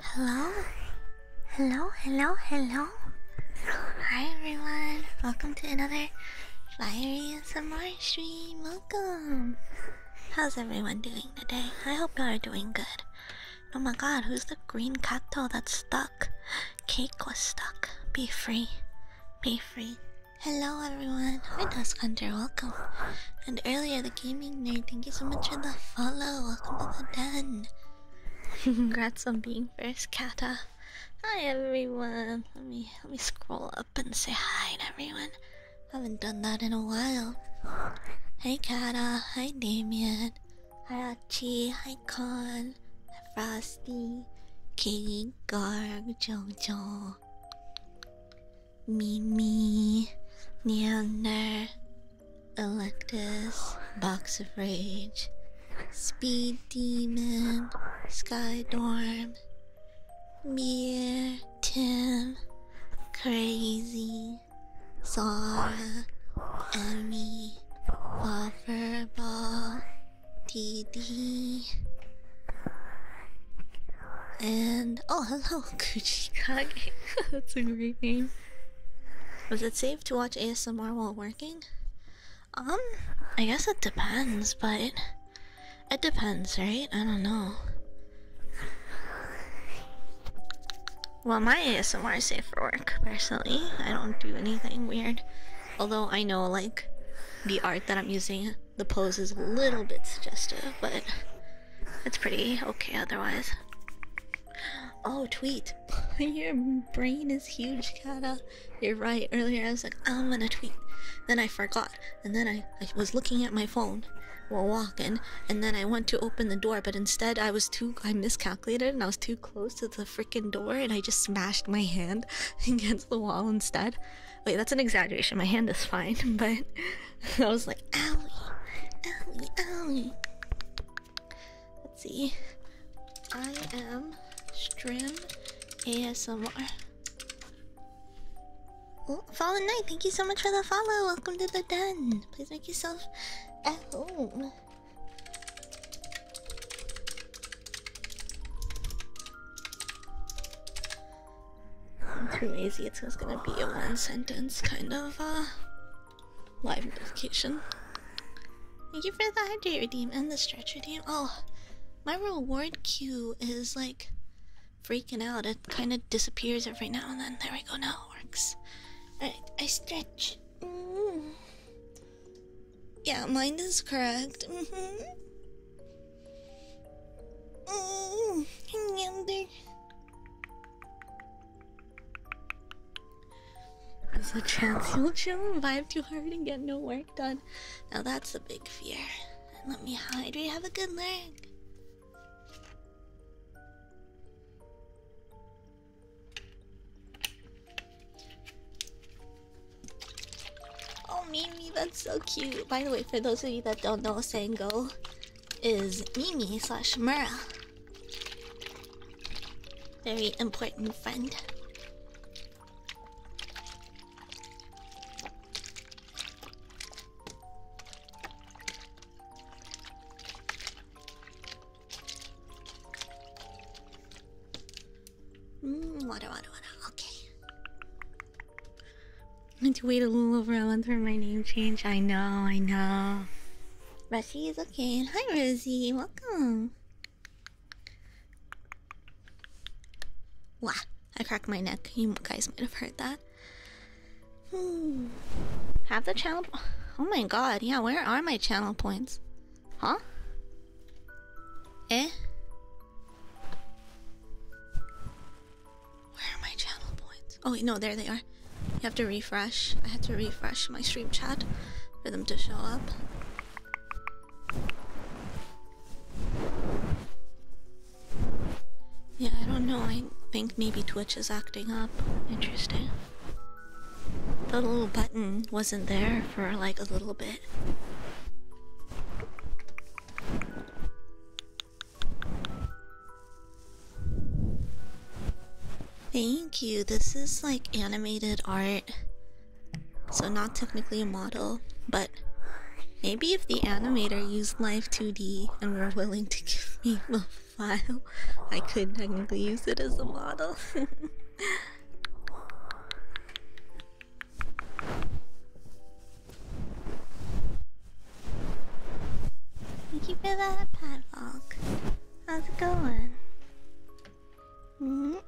Hello, hello, hello, hello. Hi everyone, welcome to another Fiery ASMR stream. Welcome. How's everyone doing today? I hope y'all are doing good. Oh my god, who's the green cacto that's stuck? Cake was stuck. Be free. Be free. Hello everyone. Hi Dusk Hunter, welcome. And earlier the gaming nerd. Thank you so much for the follow. Welcome to the den. Congrats on being first, Kata. Hi everyone. Let me let me scroll up and say hi to everyone. Haven't done that in a while. Hey Kata. Hi Damian. Hi Achi. Hi Con. Hi Frosty. Katie Garg. Jojo. Mimi, Neander, Electus, Box of Rage, Speed Demon, Skydorm, Beer, Tim, Crazy, Sora, Emmy, Bufferball, DD, and oh hello, Gucci Kage. That's a great name. Was it safe to watch ASMR while working? Um, I guess it depends, but it depends, right? I don't know. Well, my ASMR is safe for work, personally. I don't do anything weird. Although I know, like, the art that I'm using, the pose is a little bit suggestive, but that's pretty okay otherwise. Oh, tweet. Your brain is huge, Kata. You're right. Earlier I was like, I'm gonna tweet. Then I forgot. And then I was looking at my phone while walking. And then I went to open the door, but instead I was too. I miscalculated and I was too close to the freaking door and I just smashed my hand against the wall instead. Wait, that's an exaggeration. My hand is fine, but I was like, owie, owie, owie. Let's see. I am Strim ASMR. Oh, Fallen Knight, thank you so much for the follow. Welcome to the den. Please make yourself at home. I'm too lazy. It's just gonna be a one sentence kind of uh, Live notification. Thank you for the hydrate redeem and the stretch redeem. Oh, my reward queue is like freaking out. It kind of disappears every now and then. There we go. Now it works. Alright, I stretch. Mm-hmm. Yeah, mine is correct. Mm -hmm. Mm -hmm. There's a chance you'll chill and vibe too hard and get no work done. Now that's a big fear. And let me hide. We have a good leg. Oh, Mimi, that's so cute. By the way, for those of you that don't know Sango, is Mimi slash Mura. Very important friend. Mm, water, water, water. Okay. I to wait a little over a month for my name change. I know, I know. Rushy is okay. Hi, Rosie. Welcome. Wah! I cracked my neck. You guys might have heard that. Hmm. Have the channel. Oh my god. Yeah, where are my channel points? Huh? Eh? Where are my channel points? Oh wait, no, there they are. You have to refresh. I had to refresh my stream chat for them to show up. Yeah, I don't know. I think maybe Twitch is acting up. Interesting. The little button wasn't there for like a little bit. Thank you. This is like animated art. So, not technically a model, but maybe if the animator used Live 2D and were willing to give me a file, I could technically use it as a model. Thank you for that, Padlock. How's it going? Mm.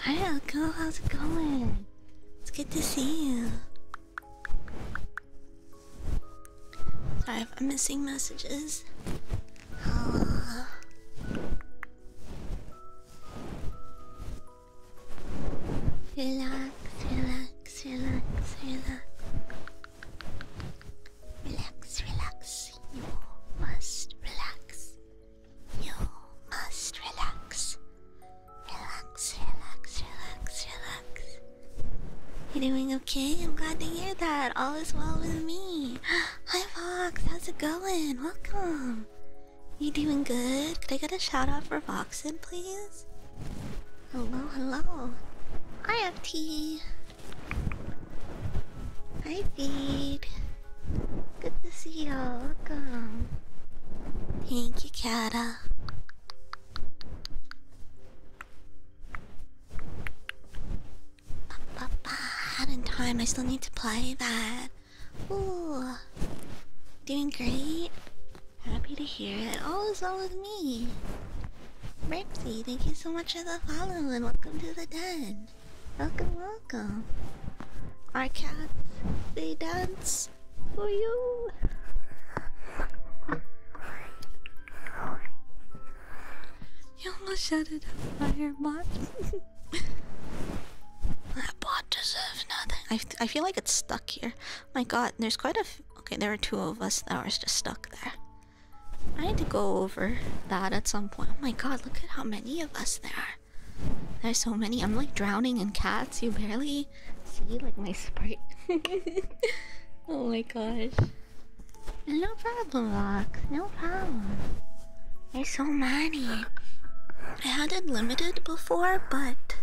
Hi, Elko. How's it going? It's good to see you. Sorry I'm missing messages. Relax, relax, relax, relax. Relax, relax. You must relax. You must relax. Relax, relax, relax, relax. You're doing okay? I'm glad to hear that. All is well with me. Hi, Fox. How's it going? Welcome. You doing good? Could I get a shout out for Voxen, please? Hello, hello. Hi, FT. Hi, Feed. Good to see you. all Welcome. Thank you, Kada. Ba, ba, time. I still need to play that Ooh, doing great. Happy to hear it. All is well with me. Mercy, thank you so much for the follow and welcome to the den. Welcome, welcome. Our cats, they dance for you. You almost shut it up, Firemot. That bot deserves nothing. I feel like it's stuck here. My god, there's quite a okay, there are two of us that are just stuck there. I had to go over that at some point. Oh my god, look at how many of us there are. There's so many. I'm like drowning in cats. You barely see like my sprite. oh my gosh. No problem, Rock. No problem. There's so many. I had it limited before, but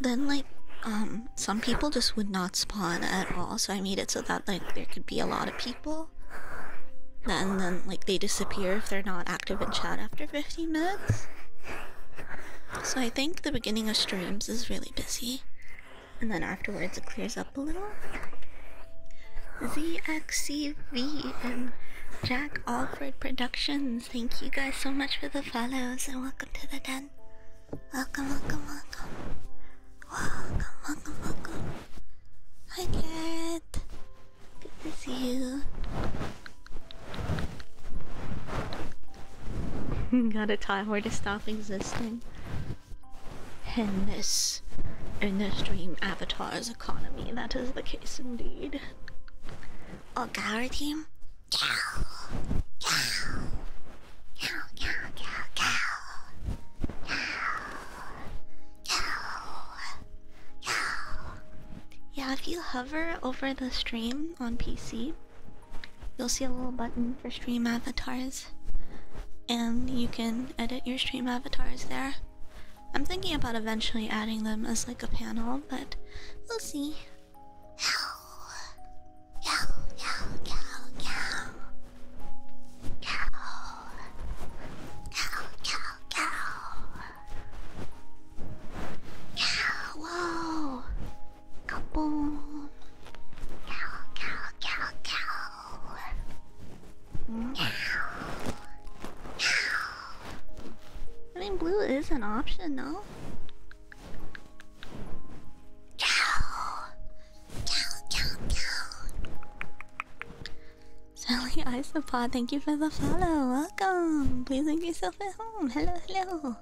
then like um some people just would not spawn at all, so I made it so that like there could be a lot of people. And then like they disappear if they're not active in chat after 15 minutes. So I think the beginning of streams is really busy. And then afterwards it clears up a little. ZXCV and Jack Alfred Productions. Thank you guys so much for the follows and welcome to the den. Welcome, welcome, welcome. Welcome, welcome, welcome. Hi, Carrot. Good to see you. Got a time where to stop existing. In this, in this dream, avatars Russia's economy. That is the case indeed. Oh, our team. Cow. Cow. Cow. Cow. Cow. Cow. Cow. Cow. Yeah, if you hover over the stream on PC, you'll see a little button for stream avatars, and you can edit your stream avatars there. I'm thinking about eventually adding them as like a panel, but we'll see. Cow, cow, cow, cow, cow, cow, cow, cow, cow, cow, whoa, kaboom, cow, cow, cow, cow. I mean, blue is an option, though. Sally Isopod, thank you for the follow. Welcome. Please make yourself at home. Hello, hello.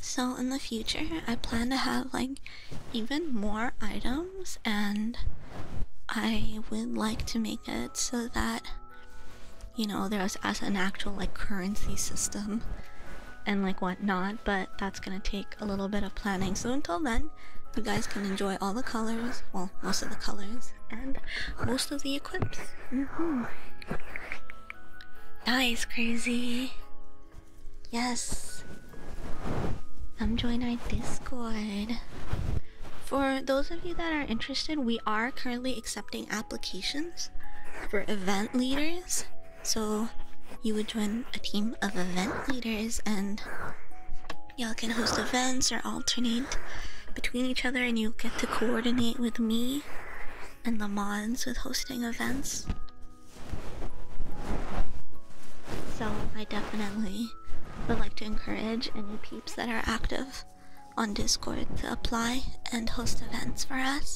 So in the future, I plan to have like even more items and I would like to make it so that you know, there's as an actual like currency system and like whatnot, but that's gonna take a little bit of planning. So until then, you guys can enjoy all the colors, well, most of the colors, and most of the equips. Nice, mm-hmm. crazy. Yes. Come join our Discord. For those of you that are interested, we are currently accepting applications for event leaders. So you would join a team of event leaders and y'all can host events or alternate between each other and you get to coordinate with me and the mods with hosting events. So I definitely would like to encourage any peeps that are active on Discord to apply and host events for us.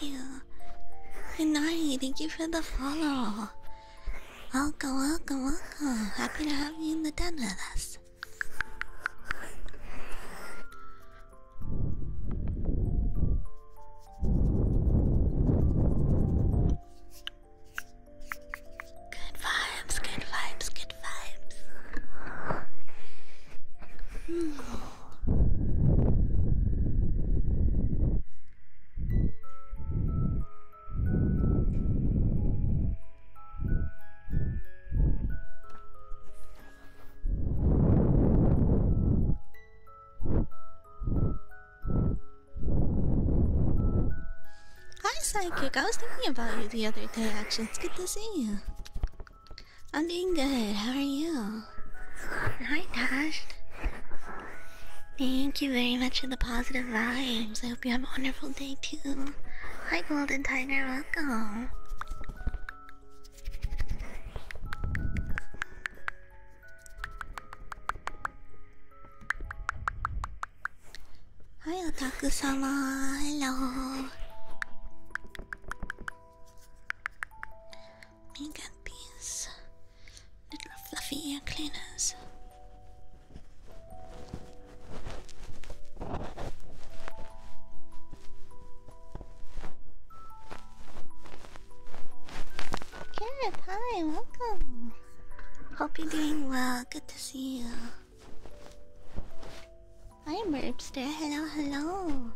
you. night. thank you for the follow. Welcome, welcome, welcome. Happy to have you in the tent with us. Good vibes, good vibes, good vibes. Hmm. Hi, Psychic. I was thinking about you the other day, actually. It's good to see you. I'm doing good. How are you? Hi, Dash. Thank you very much for the positive vibes. I hope you have a wonderful day too. Hi, Golden Tiger. Welcome. Hi, Otaku Sama. Hello we get these little fluffy ear cleaners. Carrot, hi, welcome. Hope you're doing well. Good to see you. I'm Merpster. Oh, hello, hello.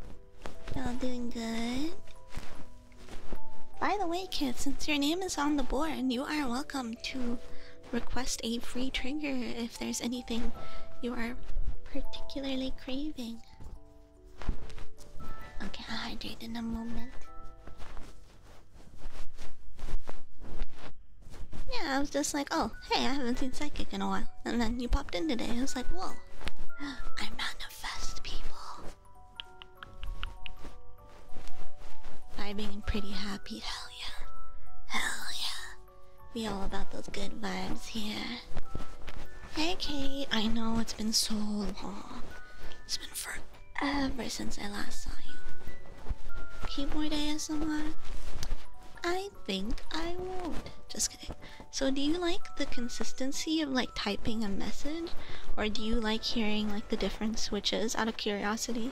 Y'all doing good? By the way, kids, since your name is on the board, you are welcome to request a free trigger if there's anything you are particularly craving. Okay, I'll it in a moment. Yeah, I was just like, oh, hey, I haven't seen Psychic in a while. And then you popped in today. I was like, whoa, I'm not manifest people by being pretty happy. Hell yeah. Hell yeah. We all about those good vibes here. Hey Kate, I know it's been so long. It's been forever since I last saw you. Keyboard ASMR? I think I won't. Just so do you like the consistency of like typing a message or do you like hearing like the different switches out of curiosity?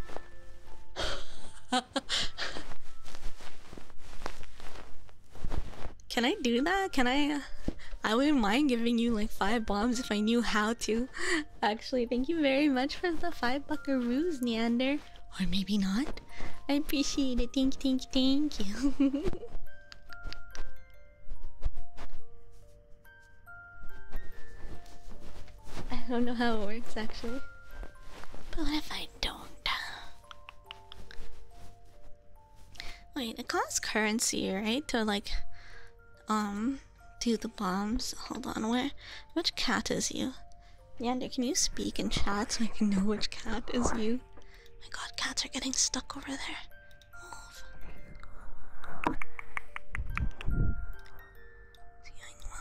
Can I do that? Can I? Uh, I wouldn't mind giving you like five bombs if I knew how to. Actually, thank you very much for the five buckaroos, Neander. Or maybe not. I appreciate it. Thank you, thank you, thank you. I don't know how it works actually. But what if I don't? Wait, it costs currency, right? To like um do the bombs. Hold on, where which cat is you? Yeah, dude, can you speak in chat so I can know which cat is you? My god, cats are getting stuck over there.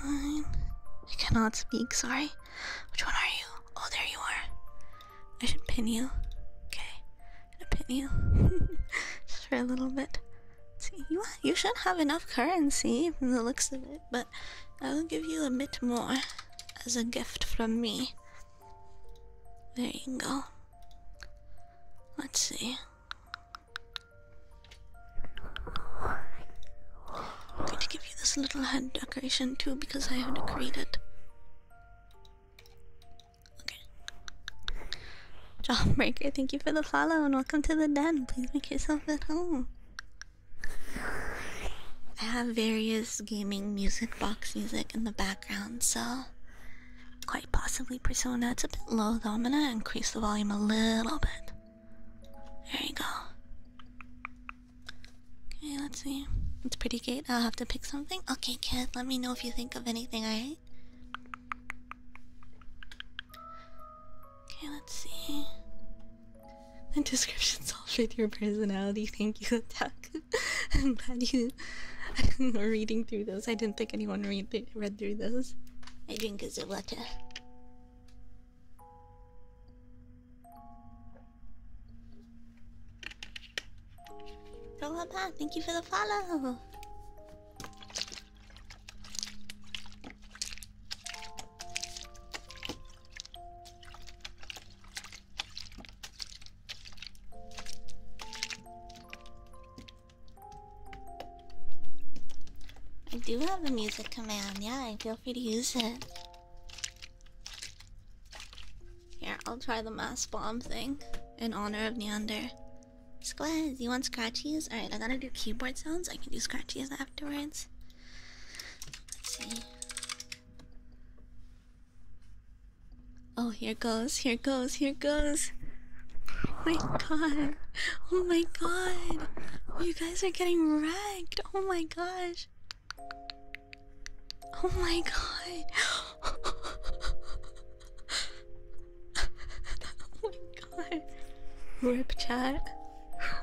Move. Line. I cannot speak, sorry. Which one are you? Oh, there you are. I should pin you. Okay, I'm pin you. Just for a little bit. See, you, you should have enough currency from the looks of it, but I'll give you a bit more as a gift from me. There you go. Let's see. I'm going to give you this little head decoration too because I have to create it. Okay. Jawbreaker, thank you for the follow and welcome to the den. Please make yourself at home. I have various gaming music, box music in the background, so quite possibly Persona. That's a bit low though, I'm gonna increase the volume a little bit. There you go. Okay, let's see. It's pretty good. I'll have to pick something. Okay, kid, let me know if you think of anything, alright? Okay, let's see. The descriptions all fit your personality. Thank you, Attack. I'm glad you were reading through those. I didn't think anyone read read through those. I drink a water. Rolaba, thank you for the follow. I do have a music command, yeah, feel free to use it. Here, I'll try the mass bomb thing in honor of Neander. Squaz, you want scratchies? Alright, I gotta do keyboard sounds. I can do scratchies afterwards. Let's see. Oh, here goes, here goes, here goes. Oh my god. Oh my god. Oh, you guys are getting wrecked. Oh my gosh. Oh my god. oh my god. Rip chat.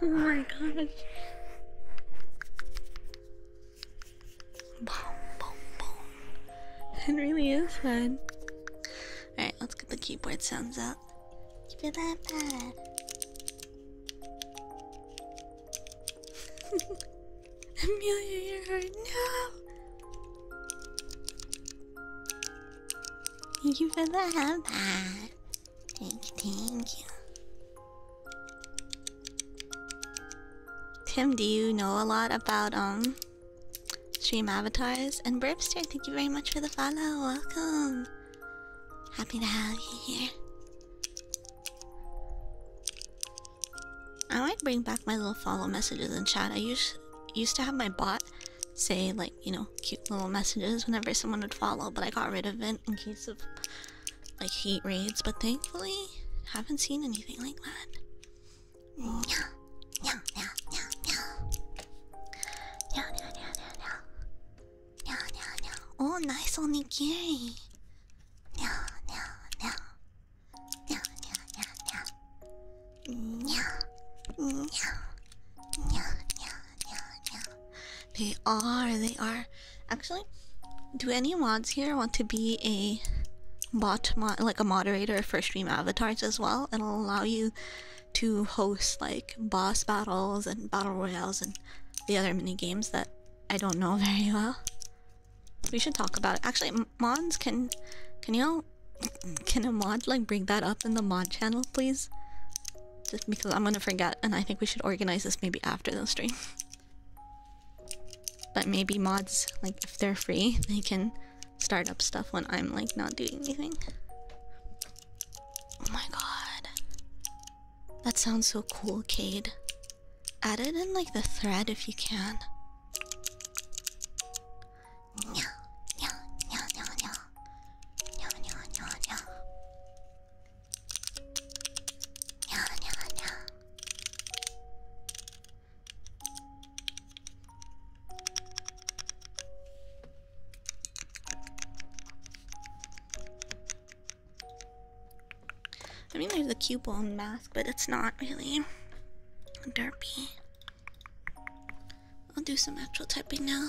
Oh my gosh. It really is fun. Alright, let's get the keyboard sounds out. Keep it up, bad. Amelia, you're hurt. No! Thank you for the hat. Thank you, thank you. Tim, do you know a lot about um stream avatars? And Burpster, thank you very much for the follow. Welcome. Happy to have you here. I might bring back my little follow messages in chat. I used used to have my bot say like, you know, cute little messages whenever someone would follow, but I got rid of it in case of like heat raids, but thankfully haven't seen anything like that. Yeah, yeah, yeah, yeah, yeah, yeah, yeah, yeah, yeah, yeah, yeah, yeah. Oh, nice onigiri. Yeah, yeah, yeah, yeah, yeah, yeah, yeah. Yeah, yeah, yeah, they are, they are. Actually, do any mods here want to be a bot mod like a moderator for stream avatars as well? It'll allow you to host like boss battles and battle royals and the other mini games that I don't know very well. We should talk about it. Actually, mods can can you can a mod like bring that up in the mod channel, please? Just because I'm gonna forget, and I think we should organize this maybe after the stream. But maybe mods, like if they're free, they can start up stuff when I'm like not doing anything. Oh my god. That sounds so cool, Cade. Add it in like the thread if you can. I mean, there's a cute bone mask, but it's not really derpy. I'll do some actual typing now.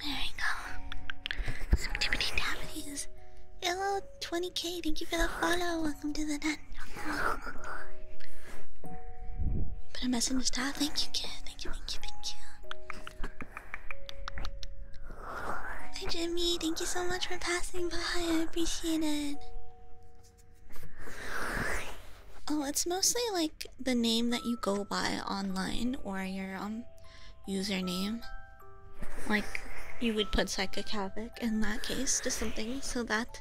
There we go. Some tippity tappities. Hello, 20k. Thank you for the follow. Welcome to the net. Put a message to Thank you, Thank you, thank you, thank you. Hi Jimmy, thank you so much for passing by. I appreciate it. Oh, it's mostly like the name that you go by online or your um username. Like you would put psychic in that case to something so that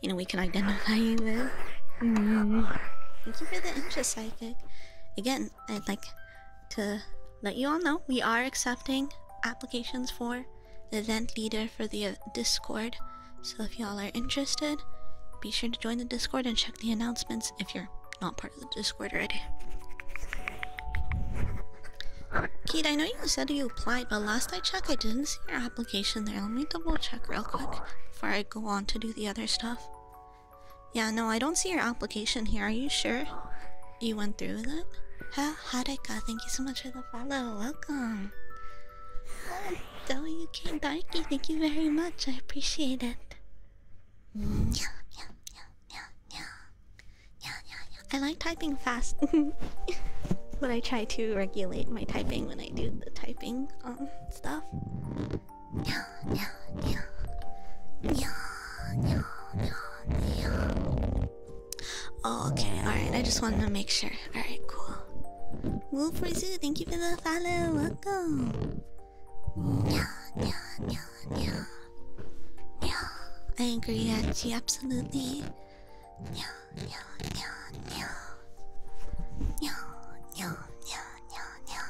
you know we can identify you with. Mm-hmm. Thank you for the intro, psychic. Again, I'd like to let you all know we are accepting applications for the event leader for the uh, Discord. So if y'all are interested, be sure to join the Discord and check the announcements if you're not part of the Discord already. Kate, I know you said you applied, but last I checked, I didn't see your application there. Let me double check real quick before I go on to do the other stuff. Yeah, no, I don't see your application here. Are you sure you went through with it? Huh? Harika, thank you so much for the follow. Welcome. WK oh, Darky, thank you very much. I appreciate it. Yeah, yeah, yeah, yeah, yeah, yeah, I like typing fast, but I try to regulate my typing when I do the typing um, stuff. Oh, okay, alright, I just wanted to make sure. Alright, cool. Wolf Rizoo, thank you for the follow. Welcome. I agree, Achi, absolutely.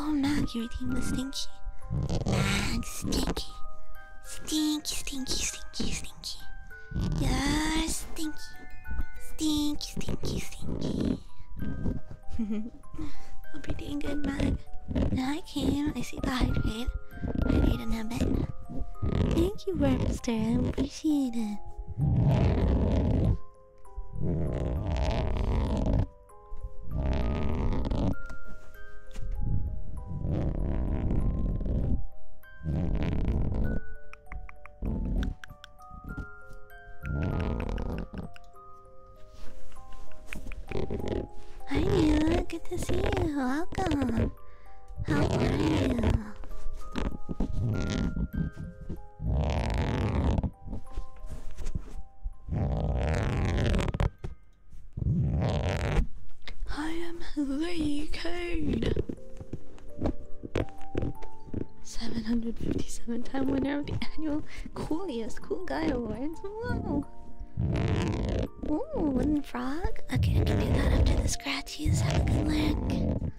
Oh, Mac, your team was stinky. Mac, stinky. Stinky, stinky, stinky, stinky. You're stinky. Stinky, stinky, stinky. I'm pretty doing good, Mag. I came. I see the hydrate. I in a bit. Thank you, Webster. I appreciate it. Hi, Neil. Good to see you. Welcome. How are you? I am the code. 757 time winner of the annual Coolest Cool Guy Awards. Ooh. Ooh, wooden frog. Okay, I can do that after the scratchies. Have a good look.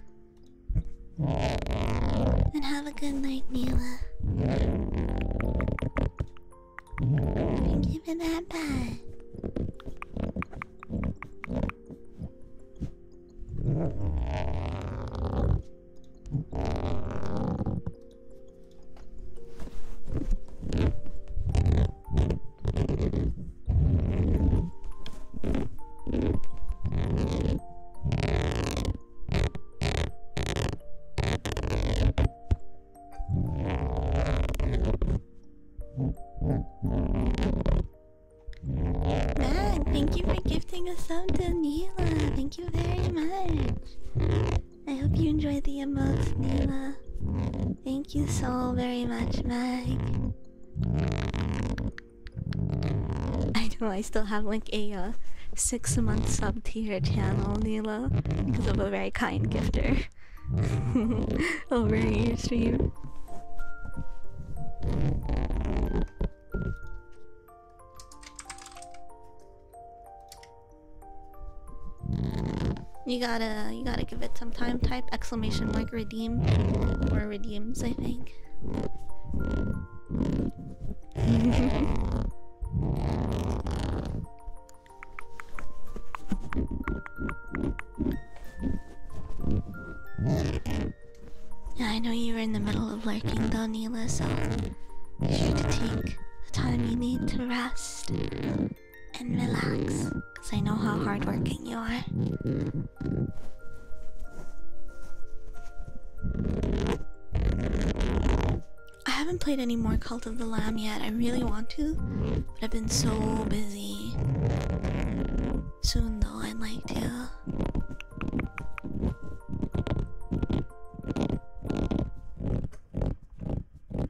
And have a good night, Neela. Thank you that bye. Matt, ah, thank you for gifting us sub to Thank you very much. I hope you enjoyed the emotes, Nima. Thank you so very much, Meg. I know I still have like a uh, six month sub to your channel, Nila, because of a very kind gifter over your stream. You gotta, you gotta give it some time. Type exclamation mark redeem or redeems, I think. yeah, I know you were in the middle of lurking though, Neela, so be sure to take the time you need to rest and relax because I know how hardworking you are. I haven't played any more Cult of the Lamb yet. I really want to, but I've been so busy. Soon, though, I'd like to. Alright,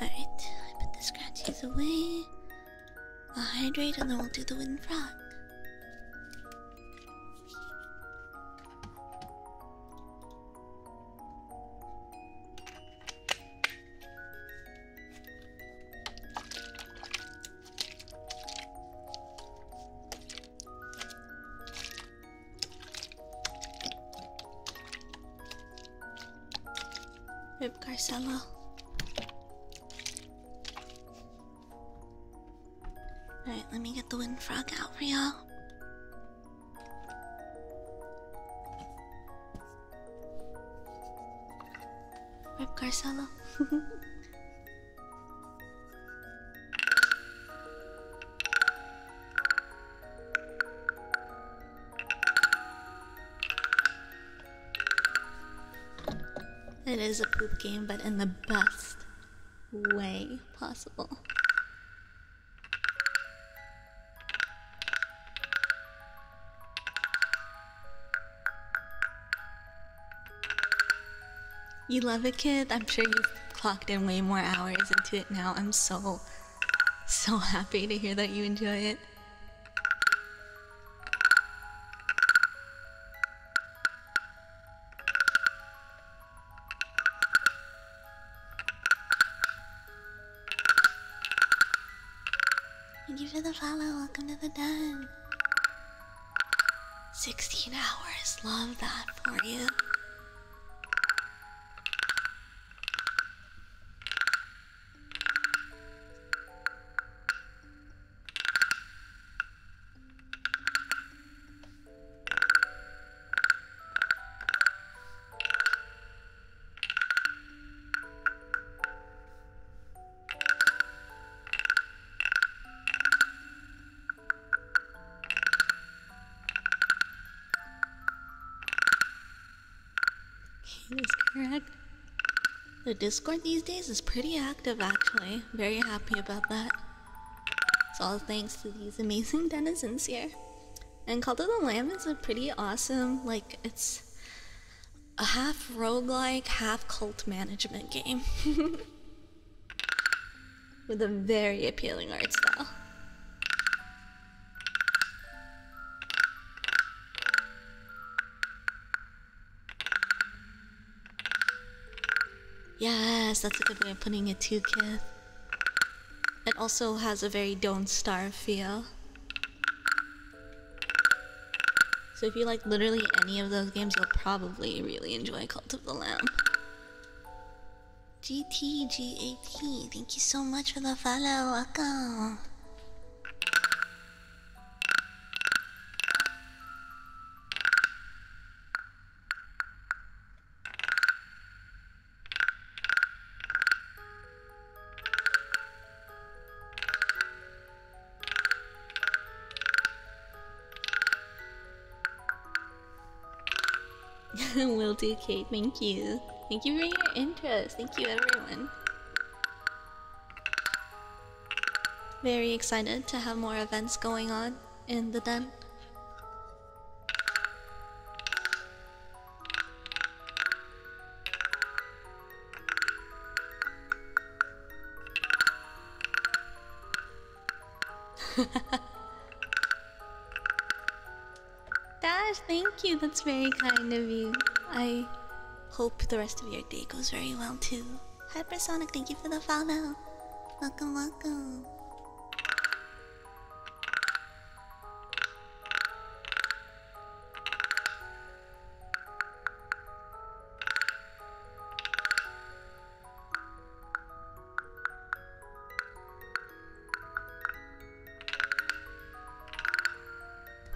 I put the scratches away. I'll hydrate and then we'll do the wind frog. Rip Garcella. Alright, let me get the wind frog out for y'all. Rip Garcella. it is a poop game, but in the best way possible. You love it, kid. I'm sure you've clocked in way more hours into it now. I'm so, so happy to hear that you enjoy it. Thank you for the follow. Welcome to the den. 16 hours. Love that for you. He is correct. The Discord these days is pretty active actually. Very happy about that. It's all thanks to these amazing denizens here. And Call to the Lamb is a pretty awesome, like, it's a half roguelike, half cult management game. With a very appealing art style. Yes, that's a good way of putting it too, kid. It also has a very Don't Starve feel. So if you like literally any of those games, you'll probably really enjoy Cult of the Lamb. GTGAT, thank you so much for the follow, welcome. Will do, Kate. Thank you. Thank you for your interest. Thank you, everyone. Very excited to have more events going on in the den. Dash, thank you. That's very kind of you. I hope the rest of your day goes very well too. Hypersonic, thank you for the follow. Welcome, welcome.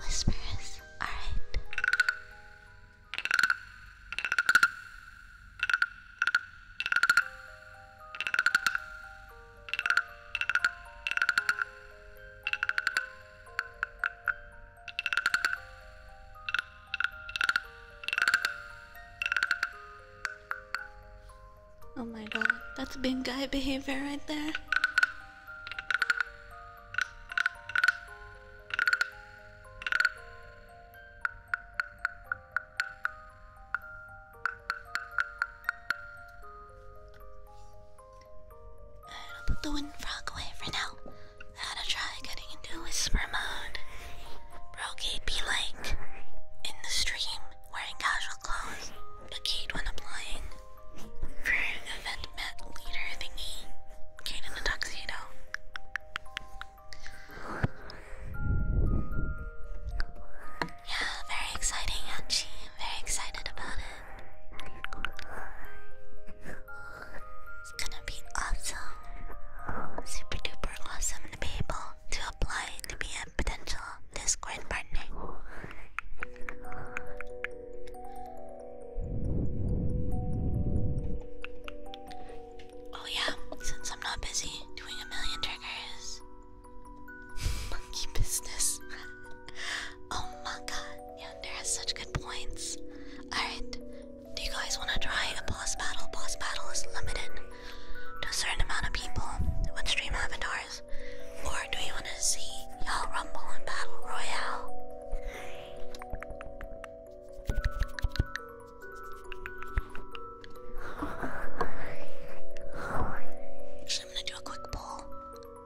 Whispers, all right. Oh my god, that's big guy behavior right there. I'll put the wind frog away for now. I had to try getting into whisper mode. Brocade be like in the stream wearing casual clothes, but Kate when applying for event met leader thingy. Kate in the tuxedo. Yeah, very exciting, Yanchi. very excited about it. It's gonna be awesome. Super duper awesome to be able to apply to be a potential Discord partner. Oh, yeah, since I'm not busy doing a million triggers, monkey business. oh my god, there are such good points. Alright, do you guys want to try a boss battle? Boss battle is limited to a certain amount of people with stream avatars. Or do you want to see y'all rumble in battle royale? Actually, I'm gonna do a quick poll.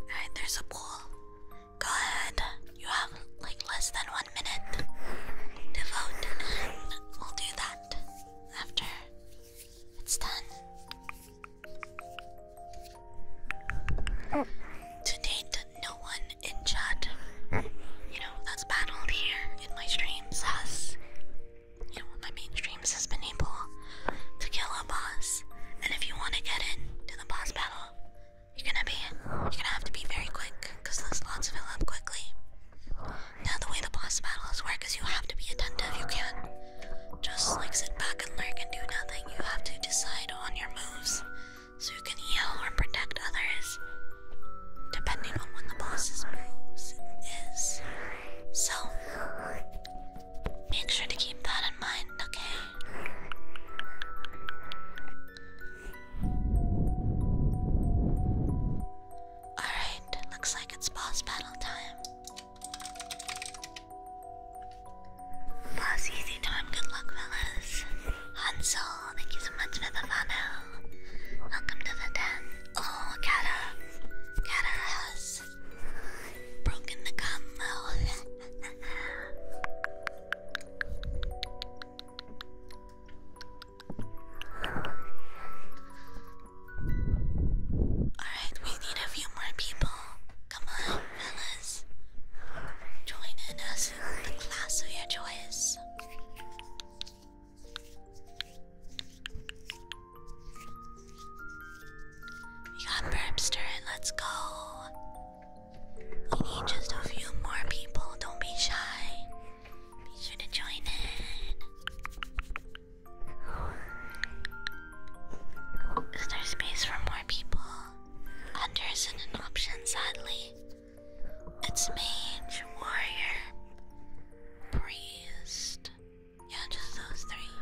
Alright, there's a pool. Go ahead. You have like less than one minute to we'll do that after it's done. To date, no one in chat, you know, that's battled here in my streams has, you know, my main has been able to kill a boss. And if you want to get into the boss battle, you're gonna be, you're gonna have to be very quick, cause the slots fill up quickly. Now the way the boss battles work is you have to be attentive. You can just like sit back and lurk and do nothing. You have to decide on your moves so you can heal or protect others depending on when the boss's moves is. So make sure to keep that in mind, okay? Alright, looks like it's boss battle time. Plus, easy time, good luck, fellas. Hansel, thank you so much for the follow. Welcome to the den. Oh, Kata. Kata has broken the combo. Alright, we need a few more people. Come on, fellas. Join in us in the class of your choice. We got Burpster let's go. We need just a few more people. Don't be shy. Be sure to join in. Is there space for more people? Hunter isn't an option, sadly. It's mage, warrior, priest. Yeah, just those three.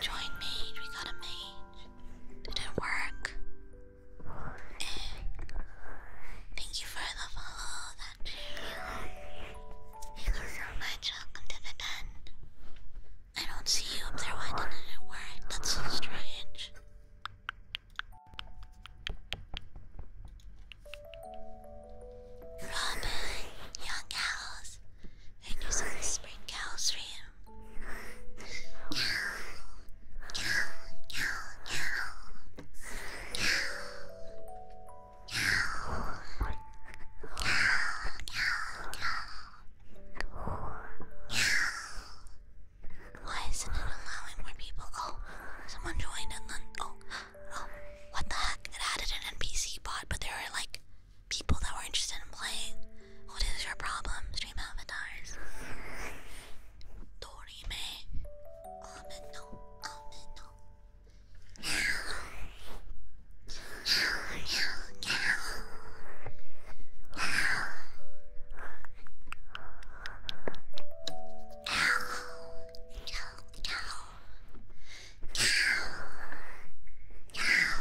Join mage, we got a mage. Didn't work. Thank you for the follow, that too. Thank you so much, welcome to the den. I don't see you up there, why didn't it work? That's so strange. Robin, young cows, and use all the spring cows for him. Cow, cow, cow, cow, cow, cow, cow, cow, cow. Why isn't it allowing more people? Oh, someone joined and then oh, oh, what the heck? It added an NPC bot, but there are like people that were interested in playing. What is your problem, stream avatars? Dorime. Ameno.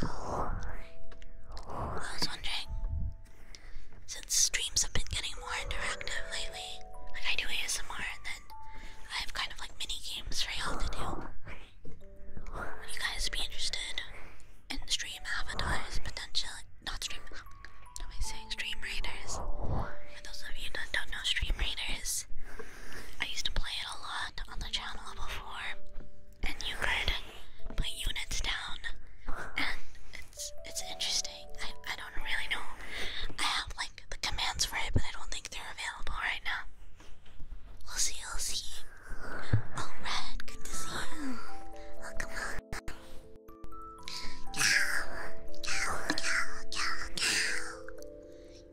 I was wondering, since streams have been getting more interactive lately, like I do ASMR and then I have kind of like mini games for y'all to do. Would you guys be interested in stream avatars Potential, Not stream, am I saying stream raiders? For those of you that don't know stream raiders, I used to play it a lot on the channel before, and you could put units down, and it's it's interesting. I I don't really know. I have like the commands for it, but I don't think they're available right now. We'll see. We'll see. Oh, Red, good to see you. Welcome. Oh, welcome. Cow, cow, cow, cow, cow.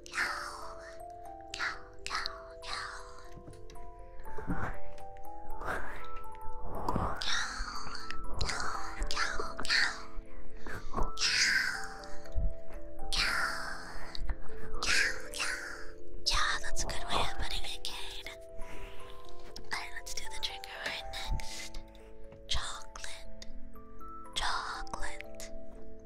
Yeah, that's a good way of putting it, Kate. Alright, let's do the trigger right next. Chocolate. Chocolate.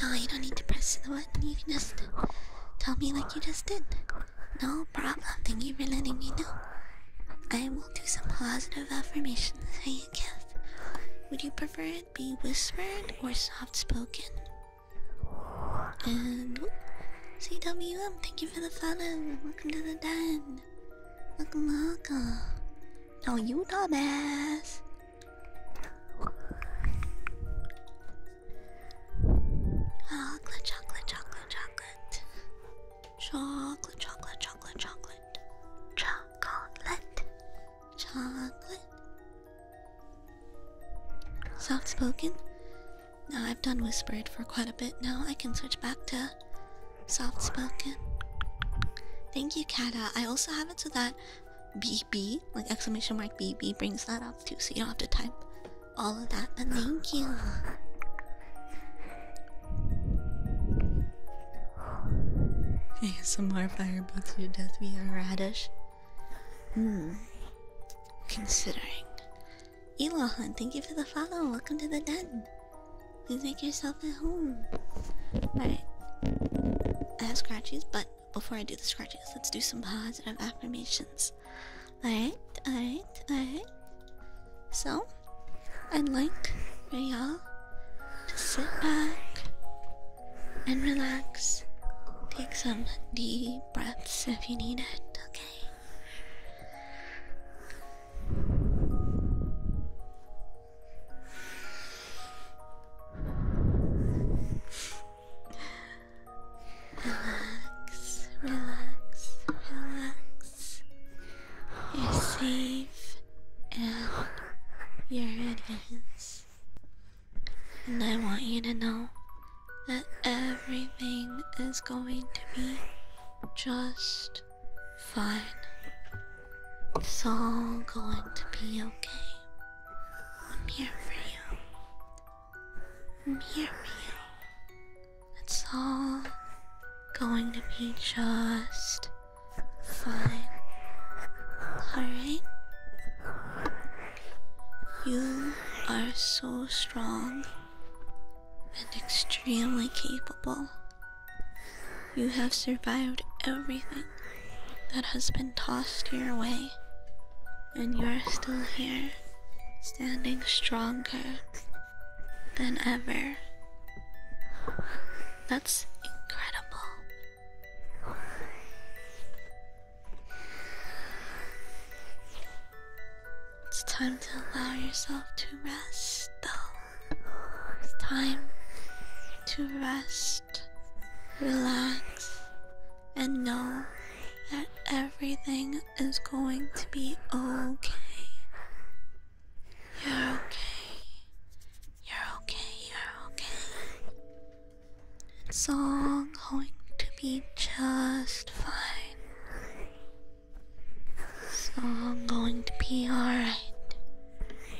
No, you don't need to press the button. You can just tell me like you just did. No problem. Thank you for letting me know. I will do some positive affirmations for you, Kev. Would you prefer it be whispered or soft spoken? And CWM, thank you for the follow. Welcome to the den. Welcome, welcome. Are you dumbass. Chocolate, chocolate, chocolate, chocolate. Chocolate, chocolate, chocolate, chocolate. Chocolate. Chocolate. Soft spoken? Now I've done whispered for quite a bit now. I can switch back to soft spoken. Thank you, Kada. I also have it so that BB, like exclamation mark BB brings that up too, so you don't have to type all of that. But thank you. Okay, some more fire to death via radish. Hmm. Considering. Elohan, thank you for the follow. Welcome to the den. Please make yourself at home. Alright. I have scratchies, but before I do the scratches, let's do some positive affirmations. Alright, alright, alright. So, I'd like for y'all to sit back and relax. Take some deep breaths if you need it, okay? Relax, relax, relax. You're safe and you're And I want you to know that everything is going to be just fine. It's all going to be okay. I'm here for you. I'm here for you. It's all going to be just fine. Alright? You are so strong and extremely capable. You have survived everything that has been tossed your way, and you're still here, standing stronger than ever. That's incredible. It's time to allow yourself to rest, though. It's time to rest, relax, and know that everything is going to be okay. You're okay. You're okay. You're okay. It's all going to be just fine. It's all going to be alright.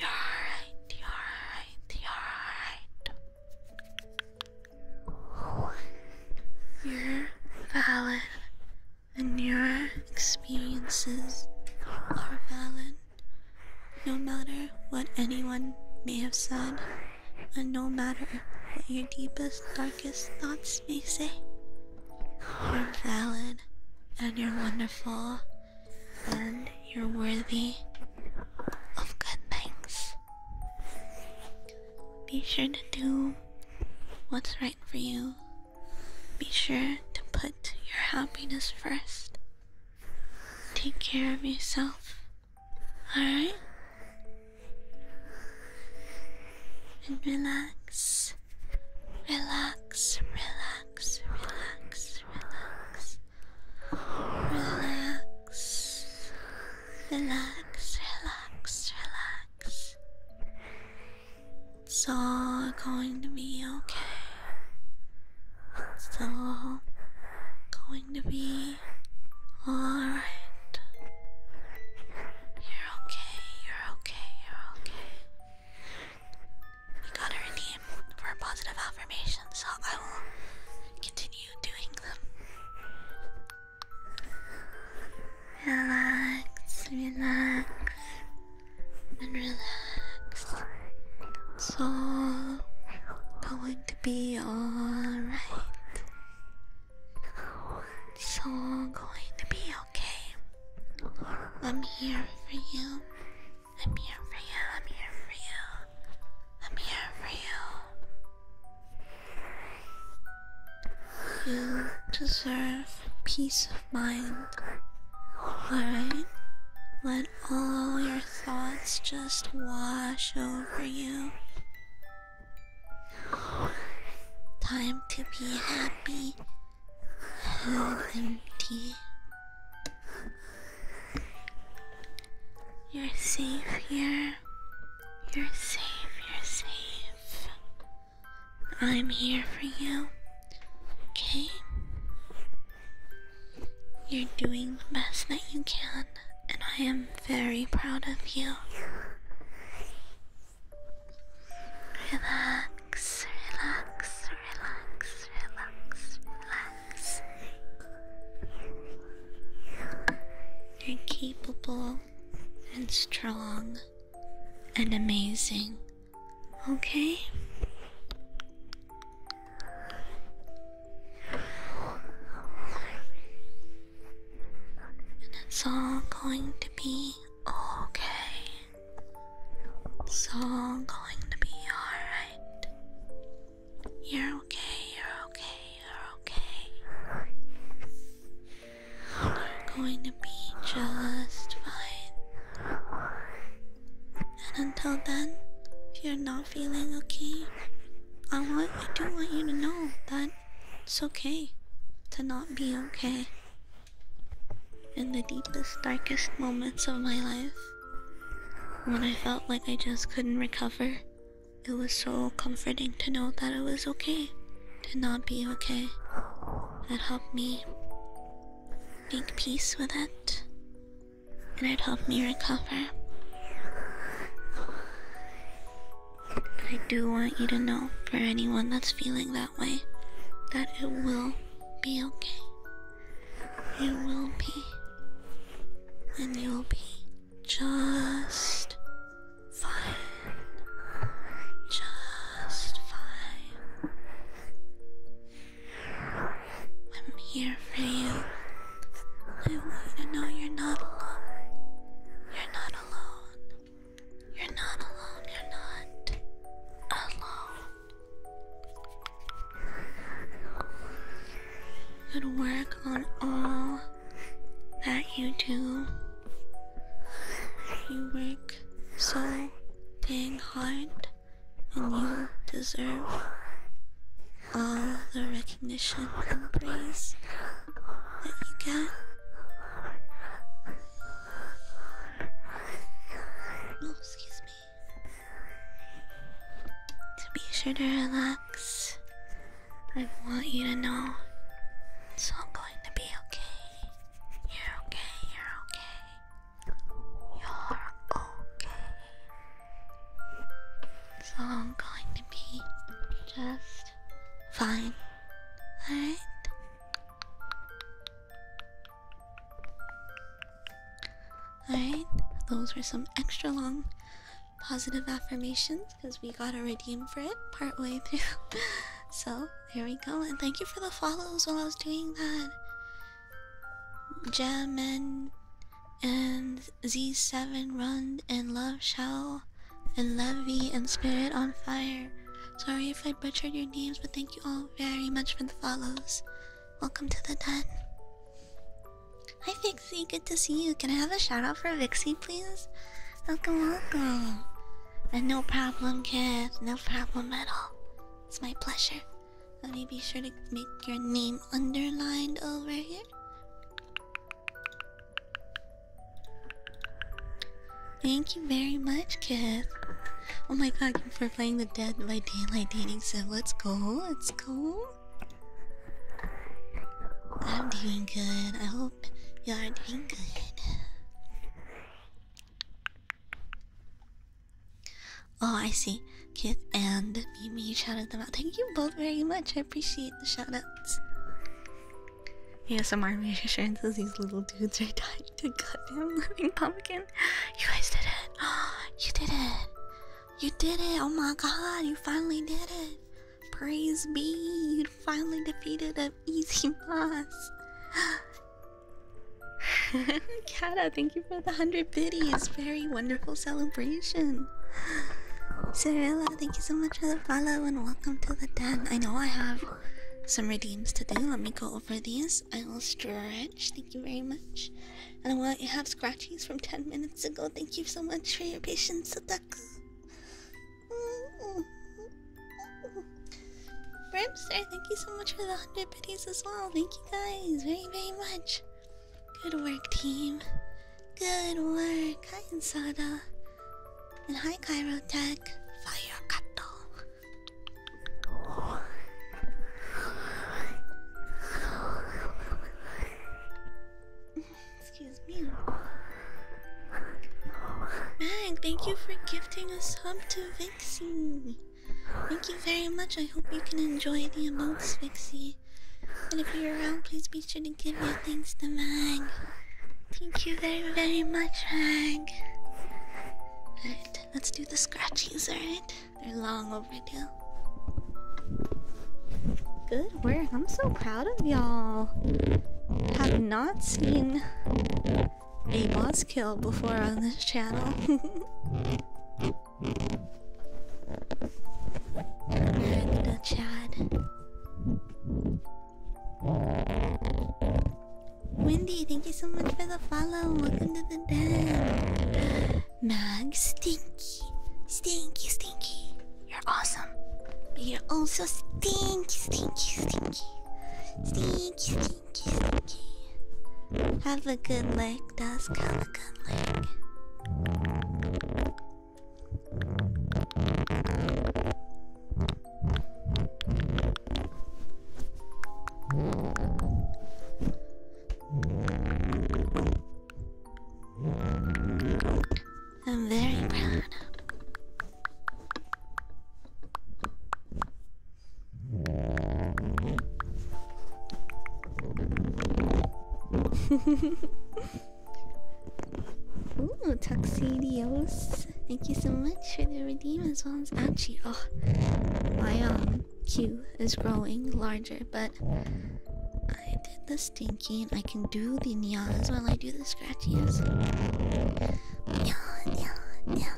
You're alright. You're alright. You're alright. You're valid, and your experiences are valid, no matter what anyone may have said, and no matter what your deepest, darkest thoughts may say. You're valid, and you're wonderful, and you're worthy of good things. Be sure to do what's right for you. Be sure to put your happiness first. Take care of yourself, alright? And relax, relax, relax, relax, relax. Relax. Relax, relax, relax. It's all going to be okay. It's all going to be alright. You're okay, you're okay, you're okay. You got her name for positive affirmation, so I will continue Relax, relax, and relax. It's all going to be alright. It's all going to be okay. I'm here for you. I'm here for you, I'm here for you, I'm here for you. You deserve peace of mind. Alright? Let all your thoughts just wash over you. Time to be happy and empty. You're safe here. You're safe, you're safe. I'm here for you. Okay? You're doing the best that you can, and I am very proud of you. Relax, relax, relax, relax, relax. You're capable and strong and amazing, okay? And it's all going to be okay. It's all going to be alright. You're okay, you're okay, you're okay. You're going to be just fine. And until then, if you're not feeling okay, I want I do want you to know that it's okay to not be okay. In the deepest, darkest moments of my life, when I felt like I just couldn't recover, it was so comforting to know that it was okay to not be okay. It helped me make peace with it, and it helped me recover. I do want you to know, for anyone that's feeling that way, that it will be okay. You will be. And you'll be just fine. Just fine. I'm here for you. I want know you're not alone. You're not alone. You're not alone. You're not alone and work on all that you do. You work so dang hard, and you deserve all the recognition and praise that you get. Oh, excuse me to be sure to relax. I want you to know it's all going to be okay. You're okay, you're okay. You're okay. It's all going to be just fine. Alright? Alright, those were some extra long positive affirmations because we got to redeem for it part way through. so there we go. And thank you for the follows while I was doing that. Gem and Z7 Run and Love Shell and Levy and Spirit on Fire. Sorry if I butchered your names, but thank you all very much for the follows. Welcome to the den. Hi Vixie, good to see you. Can I have a shout out for Vixie, please? Welcome, welcome. And uh, no problem, kid. No problem at all. It's my pleasure. Let me be sure to make your name underlined over here. Thank you very much, kid. Oh my god, for playing the Dead by Daylight dating sim. Let's go, let's go. I'm doing good. I hope you are doing good. Oh, I see. Kit and Mimi shouted them out. Thank you both very much. I appreciate the shout outs. Yeah, some army assurance these little dudes are dying to goddamn living pumpkin. You guys did it. You did it. You did it! Oh my god, you finally did it! Praise be! You finally defeated an easy boss! Kada, thank you for the 100 biddies! Very wonderful celebration! Cirilla, thank you so much for the follow and welcome to the den. I know I have some redeems to do. Let me go over these. I will stretch. Thank you very much. And while you have scratchies from 10 minutes ago, thank you so much for your patience, Sadaku. Brimster, thank you so much for the 100 pitties as well. Thank you guys very, very much. Good work, team. Good work. Hi, Insada. And hi, Cairo Tech. Excuse me. Mag, thank you for gifting us sub to Vixie. Thank you very much. I hope you can enjoy the emotes, Vixie. And if you're around, please be sure to give your thanks to Mag. Thank you very, very much, Mag. Alright, let's do the scratchies, right? They're long Good work. I'm so proud of y'all. Have not seen a boss kill before on this channel. in the Wendy, thank you so much for the follow. Welcome to the den. Mag Stinky. Stinky, stinky. You're awesome. But you're also stinky, stinky, stinky. Stinky, stinky, stinky. Have a good leg, Dusk. Have a good leg. I'm very proud. Ooh, Tuxedios. Thank you so much for the redeem as well as Achi. Oh, my um queue is growing larger, but I did the stinking. I can do the nyas while I do the scratchies. Nya, nya, nya.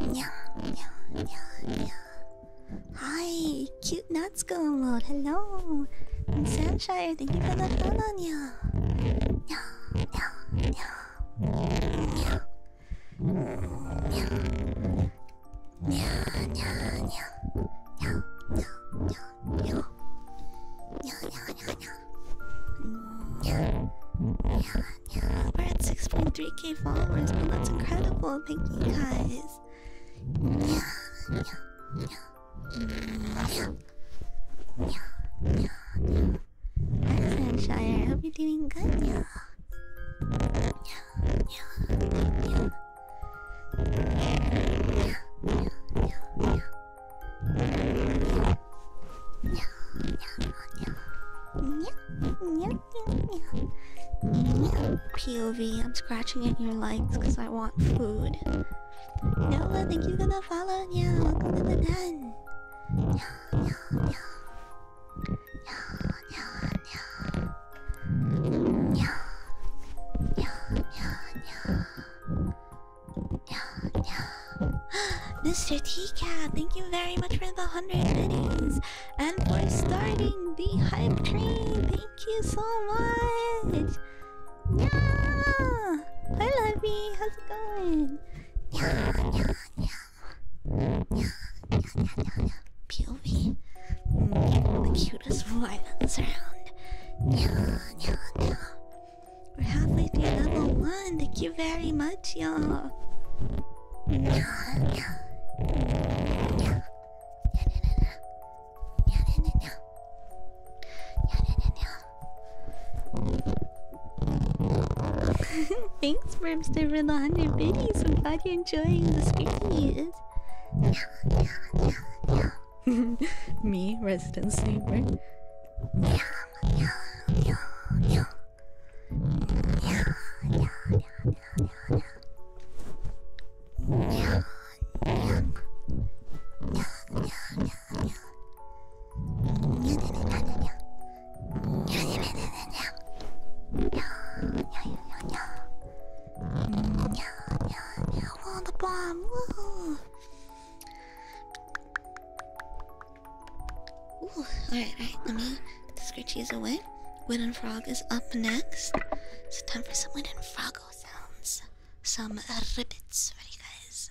Nya, nya, nya, Hi, cute nuts going mode. Hello. i Thank you for the follow, nya. Nya, nya, nya. Nya. Nya. We're at 6.3k followers, but that's incredible. Thank you guys. Excellent, Shire. I hope you're doing good. Yeah. Yeah. Yeah. Yeah. POV, I'm scratching at your legs because I want food. No Nova, thank you for the follow. Yeah, welcome to the den. Yeah, Mr. T Cat, thank you very much for the hundred biddies and for starting the hype train. Thank you so much. hi Lovey, how's it going? you'll be mm, the cutest violence around. We're halfway through level one. Thank you very much, y'all. Thanks, for the 100 biddies. I'm glad you're enjoying the series. Me, residency, right? Yeah, yeah, yeah, water bomb. Woo. Ooh, alright, alright, let me put the scritchies away. Wooden frog is up next. It's time for some wooden froggo sounds. Some ribbits for you guys.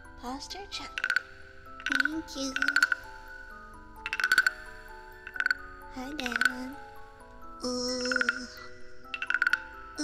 Posture Chuck, Thank you. Hi, Dan. Uh, uh.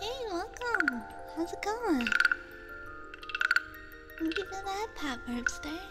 Hey, welcome! How's it going? Thank you for that, Pat Verbster.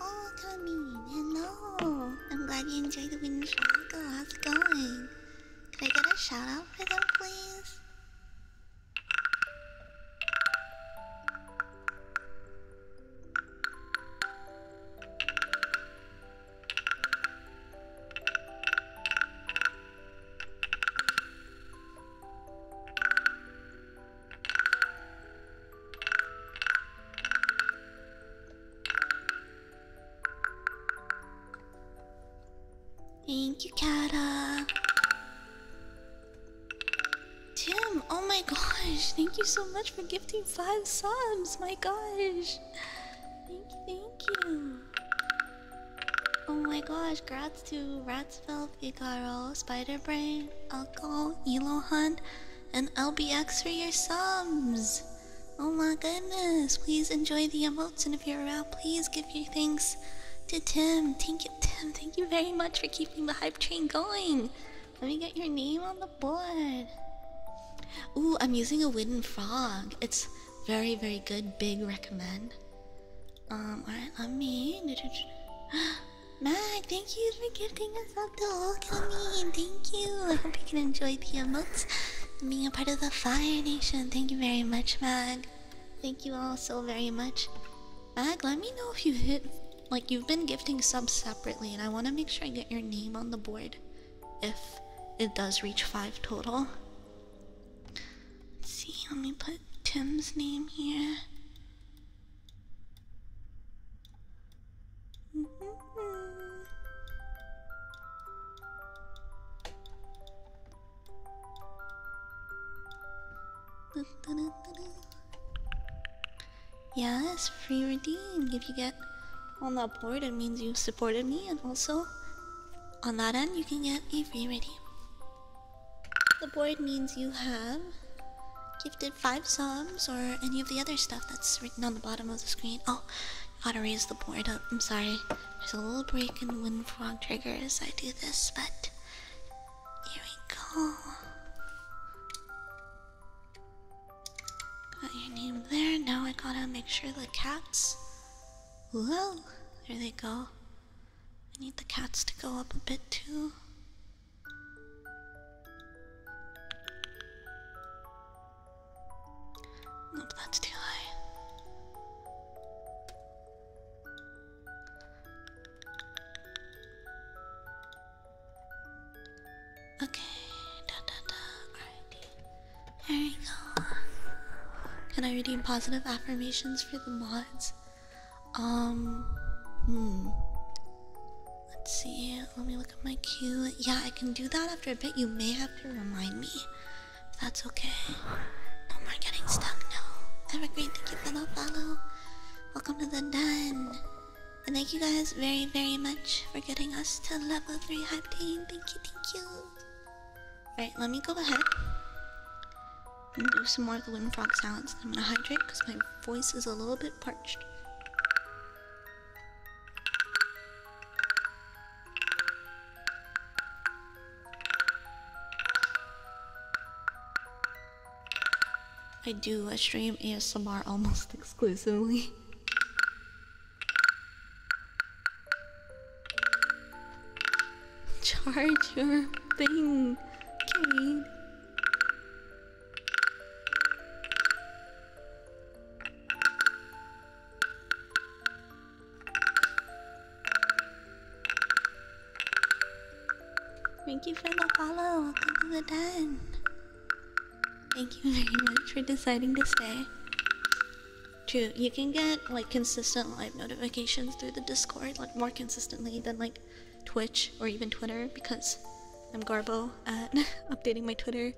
Oh, Tommy, hello. I'm glad you enjoyed the video, Shaco. How's it going? Can I get a shout out for them, please? Thank you, Kata. Tim, oh my gosh, thank you so much for giving five subs. My gosh. Thank you, thank you. Oh my gosh, grats to Ratspell Shield, Igaro, Spiderbrain, Alco, Elo Hunt, and LBX for your subs. Oh my goodness, please enjoy the emotes and if you're around, please give your thanks to Tim. Thank you, Tim. Thank you very much for keeping the hype train going. Let me get your name on the board. Ooh, I'm using a wooden frog. It's very, very good. Big recommend. Um, alright, let me. Mag, thank you for gifting us up to Alchemy. Thank you. I hope you can enjoy the emotes and being a part of the Fire Nation. Thank you very much, Mag. Thank you all so very much. Mag, let me know if you hit. Like, you've been gifting subs separately, and I want to make sure I get your name on the board if it does reach five total. Let's see, let me put Tim's name here. Mm-hmm. Yes, free redeem. If you get on that board, it means you've supported me, and also on that end, you can get a free redeem. The board means you have gifted five psalms, or any of the other stuff that's written on the bottom of the screen. Oh, gotta raise the board up. I'm sorry. There's a little break in Wind Frog triggers. I do this, but here we go. Got your name there. Now I gotta make sure the cats. Whoa, there they go. I need the cats to go up a bit too. Nope, that's too high. Okay, da we go. Can I redeem positive affirmations for the mods? Um, hmm. Let's see. Let me look at my queue. Yeah, I can do that after a bit. You may have to remind me. that's okay. No more getting stuck. No. Evergreen, thank you for the follow. Welcome to the den. And thank you guys very, very much for getting us to level 3 hype team. Thank you, thank you. Alright, let me go ahead I'm gonna do some more of the Wind Frog sounds. I'm gonna hydrate because my voice is a little bit parched. I do, a stream ASMR almost exclusively. Charge your thing, Kate. Thank you for the follow. Welcome to the den. Thank you very much for deciding to stay. True, you can get like consistent live notifications through the Discord, like more consistently than like Twitch or even Twitter because I'm garbo at updating my Twitter.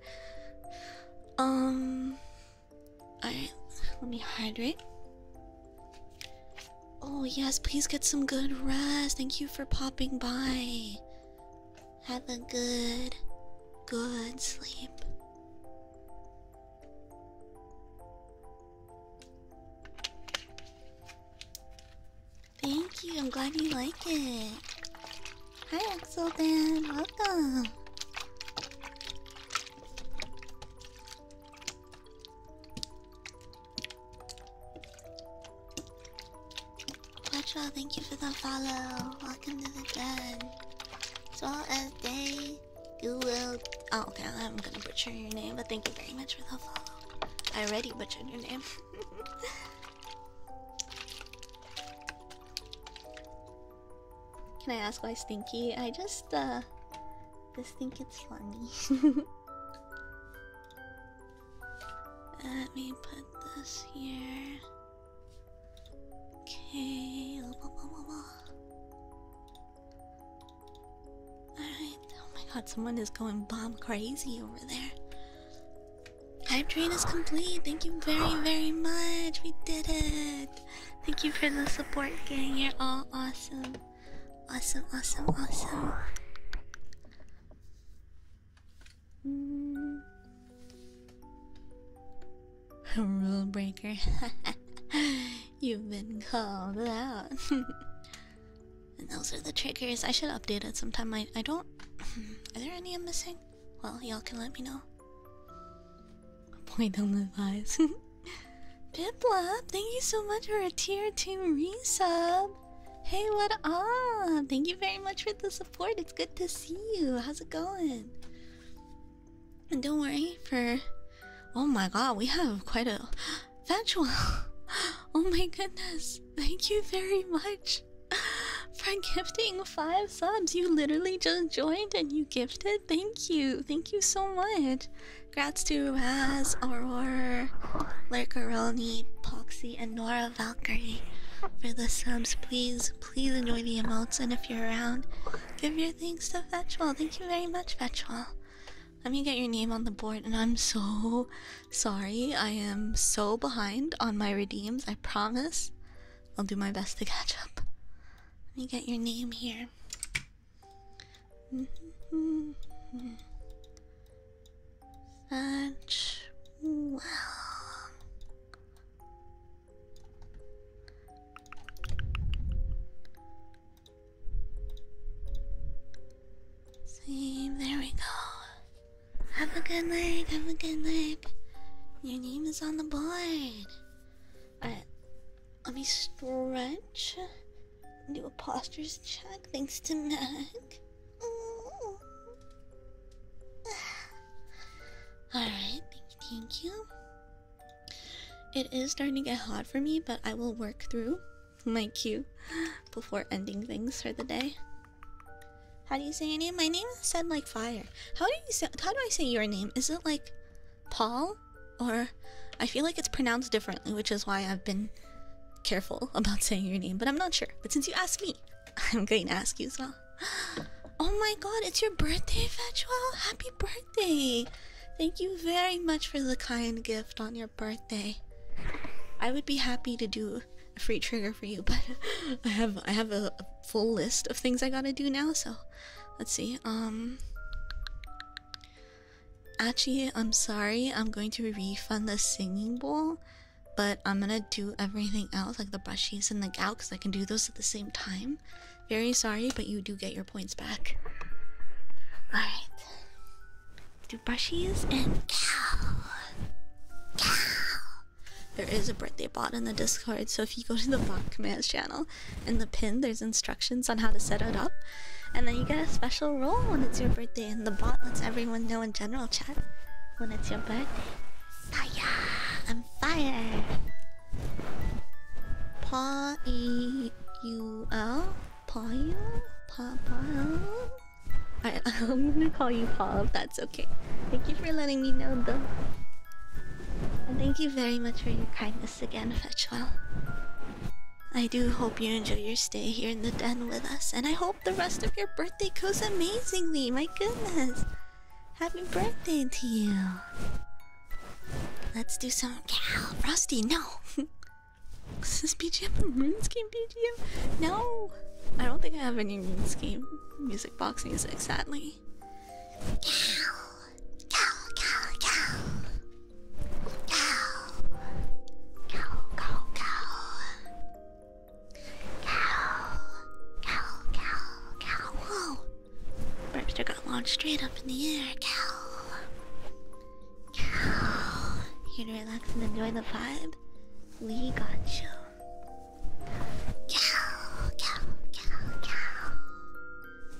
Um, alright, let me hydrate. Oh, yes, please get some good rest. Thank you for popping by. Have a good, good sleep. Thank you, I'm glad you like it. Hi, Axel Dan, welcome. Watch out! thank you for the follow. Welcome to the club. As well as Day, you Google. Oh, okay, I'm gonna butcher your name, but thank you very much for the follow. I already butchered your name. Can I ask why Stinky? I just uh just think it's funny. Let me put this here. Okay oh my god, someone is going bomb crazy over there. Hype train is complete. Thank you very, very much. We did it. Thank you for the support, gang. You're all awesome. Awesome, awesome, awesome. Hmm. Rule breaker. You've been called out. And those are the triggers. I should update it sometime. I I don't. Hmm, are there any I'm missing? Well, y'all can let me know. Point on the eyes. Biplop, thank you so much for a tier two resub. Hey, what up? Thank you very much for the support. It's good to see you. How's it going? And don't worry for. Oh my god, we have quite a Factual. Oh my goodness. Thank you very much for gifting five subs. You literally just joined and you gifted. Thank you. Thank you so much. Grats to Raz, Aurora, Lurkeroni, Poxy, and Nora Valkyrie for the subs. Please, please enjoy the emotes. And if you're around, give your thanks to Fetchwell. Thank you very much, Fetchwell. Let me get your name on the board, and I'm so sorry. I am so behind on my redeems, I promise. I'll do my best to catch up. Let me get your name here. Mm well. Sleep, there we go. Have a good night, have a good night. Your name is on the board. Alright, let me stretch. Do a postures check, thanks to Mac. Alright, thank you. It is starting to get hot for me, but I will work through my cue before ending things for the day. How do you say your name? My name is said like fire. How do you say? How do I say your name? Is it like Paul? Or I feel like it's pronounced differently, which is why I've been careful about saying your name. But I'm not sure. But since you asked me, I'm going to ask you as well. Oh my God! It's your birthday, Fetchwell. Happy birthday! Thank you very much for the kind gift on your birthday. I would be happy to do a free trigger for you, but I have I have a, full list of things I gotta do now. So, let's see. Um, actually, I'm sorry. I'm going to refund the singing bowl, but I'm gonna do everything else, like the brushies and the gout, I can do those at the same time. Very sorry, but you do get your points back. All right do brushes and cow. Cow. There is a birthday bot in the Discord, so if you go to the bot commands channel in the pin, there's instructions on how to set it up. And then you get a special role when it's your birthday, and the bot lets everyone know in general chat when it's your birthday. Fire! I'm fire! Paw I, am gonna call you Paul if that's okay. Thank you for letting me know, though. And thank you very much for your kindness again, Fetchwell. I do hope you enjoy your stay here in the den with us, and I hope the rest of your birthday goes amazingly. My goodness. Happy birthday to you. Let's do some cow. Rusty, no. Is this BGM a RuneScape BGM? No! I don't think I have any RuneScape music box music, sadly. Cow! Cow, cow, cow! Cow! Cow, cow, cow! Cow! Cow, cow, cow! Whoa! Burpster got launched straight up in the air, cow! you to relax and enjoy the vibe. We got you. Cow, cow, cow, cow.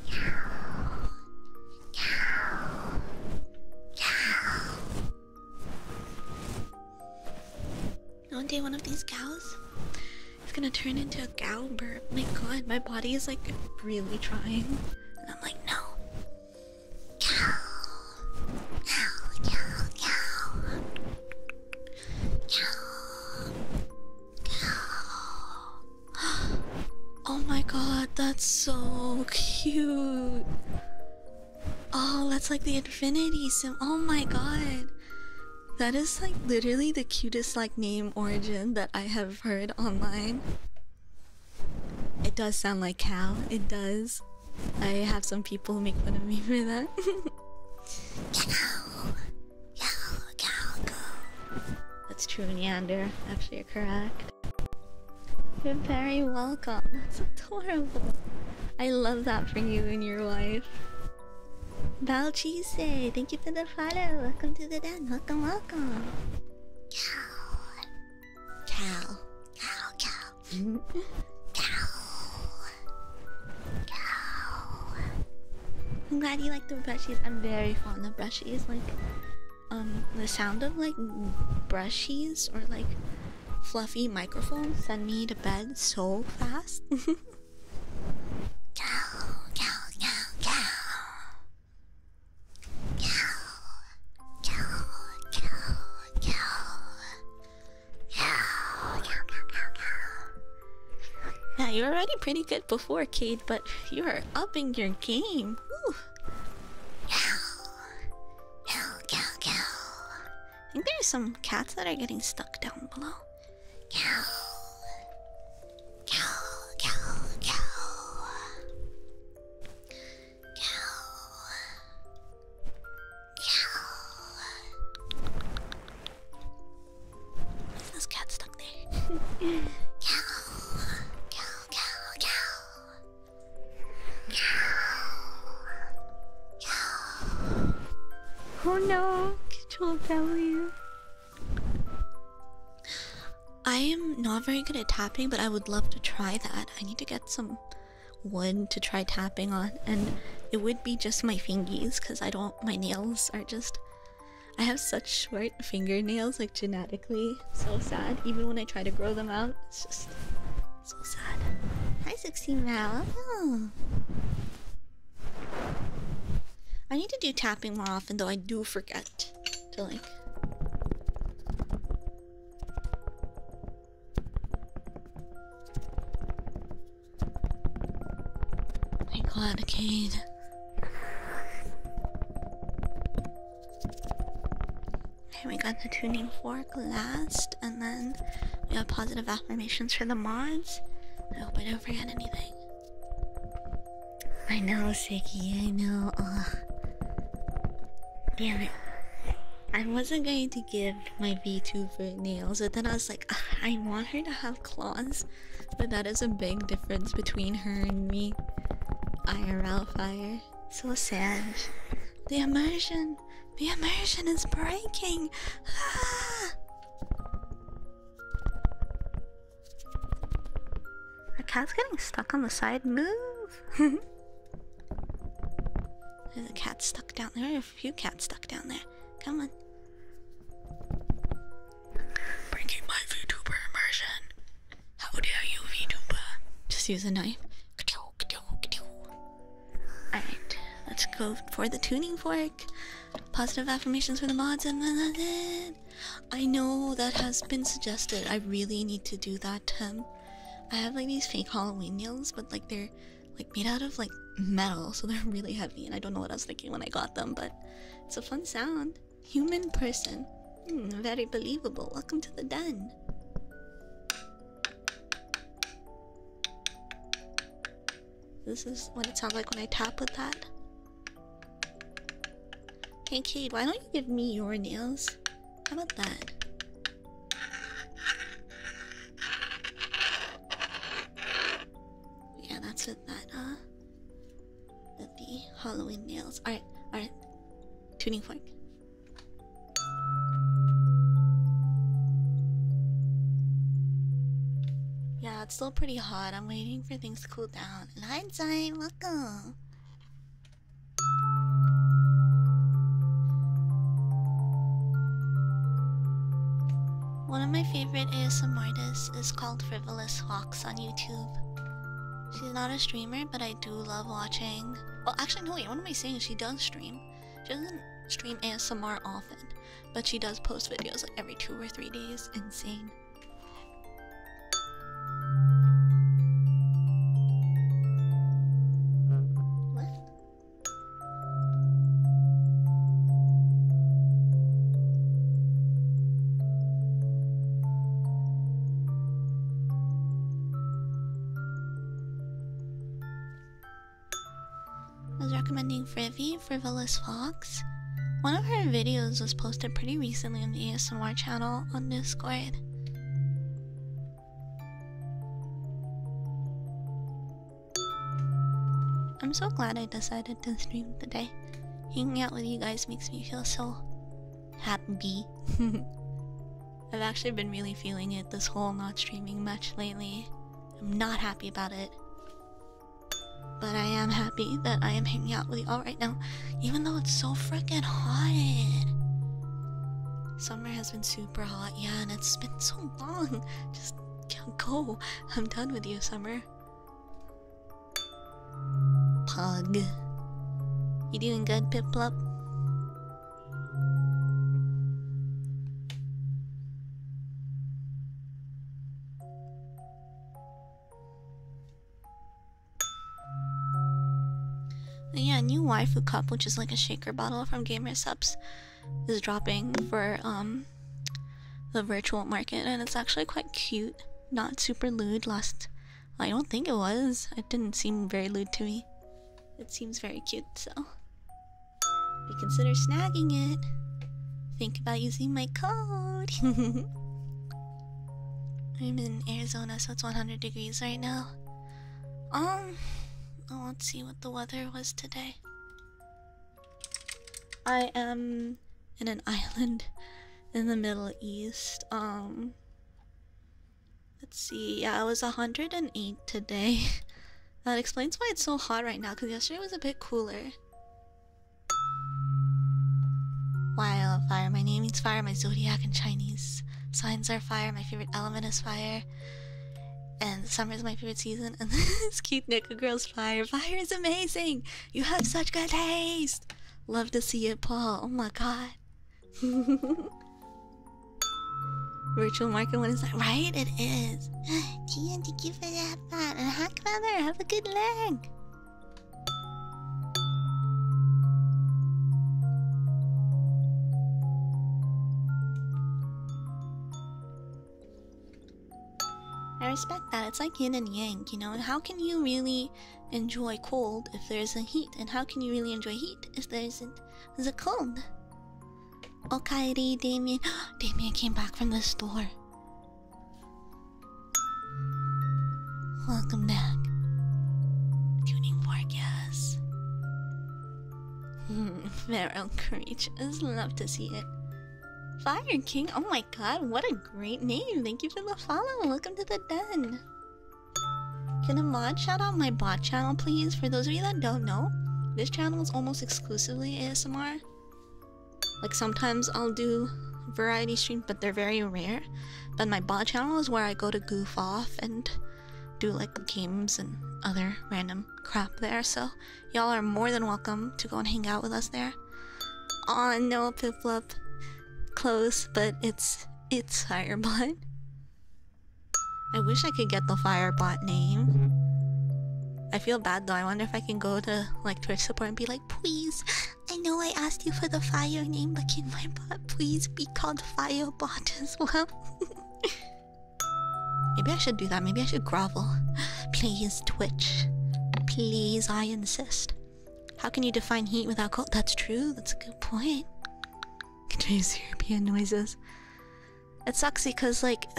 Cow, cow, cow. One day, one of these cows is gonna turn into a cow My god, my body is like really trying. And I'm like, no. Cow, cow, cow, cow. Cow, cow. Oh my god, that's so cute. Oh, that's like the infinity So, Oh my god. That is like literally the cutest like name origin that I have heard online. It does sound like cow. It does. I have some people make fun of me for that. That's true, Neander. Actually, you're correct. You're very welcome. That's adorable. I love that for you and your wife. Balchise, thank you for the follow. Welcome to the den. Welcome, welcome. Cow. Cow, cow. cow. Mm-hmm. Cow. I'm glad you like the brushies. I'm very fond of brushies. Like, um, the sound of like brushies or like fluffy microphones send me to bed so fast. cow, cow, cow, cow. Cow, cow, cow cow, cow, cow, cow, cow. Now you are already pretty good before, Cade, but you are upping your game. Woo. Cow, cow, cow, cow. I think there's some cats that are getting stuck down below. Cow, cow, cow, cow. This cat stuck there. cow, cow, cow, cow. Cow, cow. Oh no, am not very good at tapping, but I would love to try that. I need to get some wood to try tapping on, and it would be just my fingies because I don't, my nails are just. I have such short fingernails, like genetically. So sad. Even when I try to grow them out, it's just so sad. Hi, 60 Mal. I need to do tapping more often, though I do forget to like. Hey, Cladicade. Okay, we got the tuning fork last, and then we have positive affirmations for the mods. I hope I don't forget anything. I know, Siggy, I know. Damn it. I wasn't going to give my V two for nails, but then I was like, I want her to have claws, but that is a big difference between her and me. IRL fire. So sad. The immersion! The immersion is breaking! Ah! The cat's getting stuck on the side. Move! There's a cat stuck down there. There are a few cats stuck down there. Come on. Breaking my VTuber immersion. How dare you, VTuber? Just use a knife. Alright, let's go for the tuning fork. Positive affirmations for the mods and I know that has been suggested. I really need to do that um, I have like these fake Halloween nails, but like they're like made out of like metal, so they're really heavy. And I don't know what I was thinking when I got them, but it's a fun sound. Human person, hmm, very believable. Welcome to the den. This is what it sounds like when I tap with that. Hey Kate, why don't you give me your nails? How about that? Yeah, that's with that, uh the Halloween nails. Alright, alright. Tuning fork. Yeah, it's still pretty hot. I'm waiting for things to cool down. And hi, Zai, welcome. One of my favorite ASM artists is called Frivolous Hawks on YouTube. She's not a streamer, but I do love watching. Well, actually, no, wait, what am I saying? She does stream. She doesn't stream ASMR often, but she does post videos like every two or three days. Insane. What? I was recommending Frivy, Frivolous Fox. One of her videos was posted pretty recently on the ASMR channel on Discord. I'm so glad I decided to stream today. Hanging out with you guys makes me feel so happy. I've actually been really feeling it this whole not streaming much lately. I'm not happy about it. But I am happy that I am hanging out with you all right now, even though it's so freaking hot. Summer has been super hot. Yeah, and it's been so long. Just go. I'm done with you, Summer. Pug. You doing good, Piplup? yeah, new waifu cup, which is like a shaker bottle from Gamer Subs, is dropping for um the virtual market, and it's actually quite cute. Not super lewd. Last, I don't think it was. It didn't seem very lewd to me. It seems very cute, so we consider snagging it. Think about using my code. I'm in Arizona, so it's 100 degrees right now. Um, Oh, let's see what the weather was today. I am in an island in the Middle East. Um, let's see. Yeah, it was 108 today. that explains why it's so hot right now. Cause yesterday was a bit cooler. Wildfire. My name means fire. My zodiac in Chinese signs are fire. My favorite element is fire. And summer is my favorite season. And this cute Nickel Girl's fire. Fire is amazing. You have such good taste. Love to see it, Paul. Oh my god. Virtual market when is that? Right? It is. thank you for that fun. And hack mother, have a good leg. I respect that. It's like yin and yang, you know? how can you really enjoy cold if there isn't heat? And how can you really enjoy heat if there isn't the cold? Okairi, Damien. Damien came back from the store. Welcome back. Tuning Fork, yes. Feral creatures, love to see it. Fire King, oh my god, what a great name! Thank you for the follow. Welcome to the den. Can a mod shout out my bot channel, please? For those of you that don't know, this channel is almost exclusively ASMR. Like sometimes I'll do variety streams, but they're very rare. But my bot channel is where I go to goof off and do like games and other random crap there. So y'all are more than welcome to go and hang out with us there. On oh, no pip close, but it's it's Firebot. I wish I could get the Firebot name. I feel bad though. I wonder if I can go to like Twitch support and be like, please, I know I asked you for the fire name, but can my bot please be called Firebot as well? Maybe I should do that. Maybe I should grovel. Please, Twitch. Please, I insist. How can you define heat without cold? That's true. That's a good point. Continues European noises. It sucks because, like,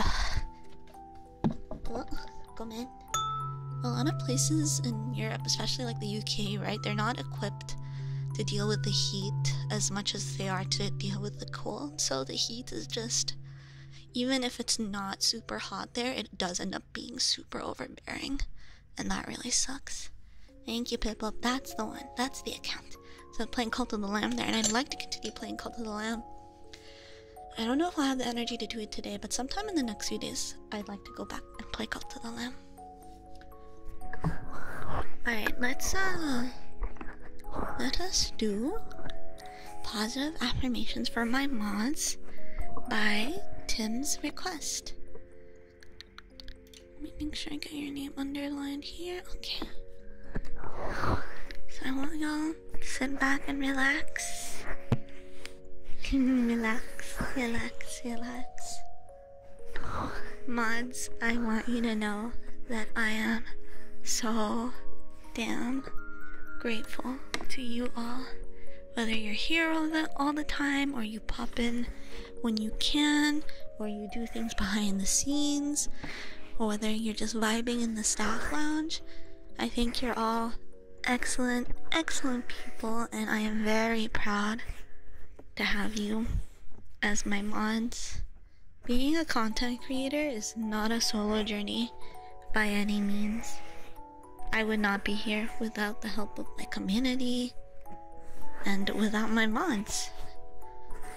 A lot of places in Europe, especially like the UK, right? They're not equipped to deal with the heat as much as they are to deal with the cold, so the heat is just even if it's not super hot there, it does end up being super overbearing, and that really sucks. Thank you, Pippo. That's the one. That's the account. So I'm playing Cult of the Lamb there, and I'd like to continue playing Cult of the Lamb. I don't know if I'll have the energy to do it today, but sometime in the next few days, I'd like to go back and play Cult of the Lamb. Alright, let's uh let us do positive affirmations for my mods by Tim's request. Let me make sure I get your name underlined here. Okay. So I want y'all to sit back and relax. relax, relax, relax. Mods, I want you to know that I am so damn grateful to you all. Whether you're here all the, all the time, or you pop in when you can, or you do things behind the scenes, or whether you're just vibing in the staff lounge, I think you're all excellent, excellent people, and I am very proud to have you as my mods. Being a content creator is not a solo journey by any means. I would not be here without the help of my community and without my mods.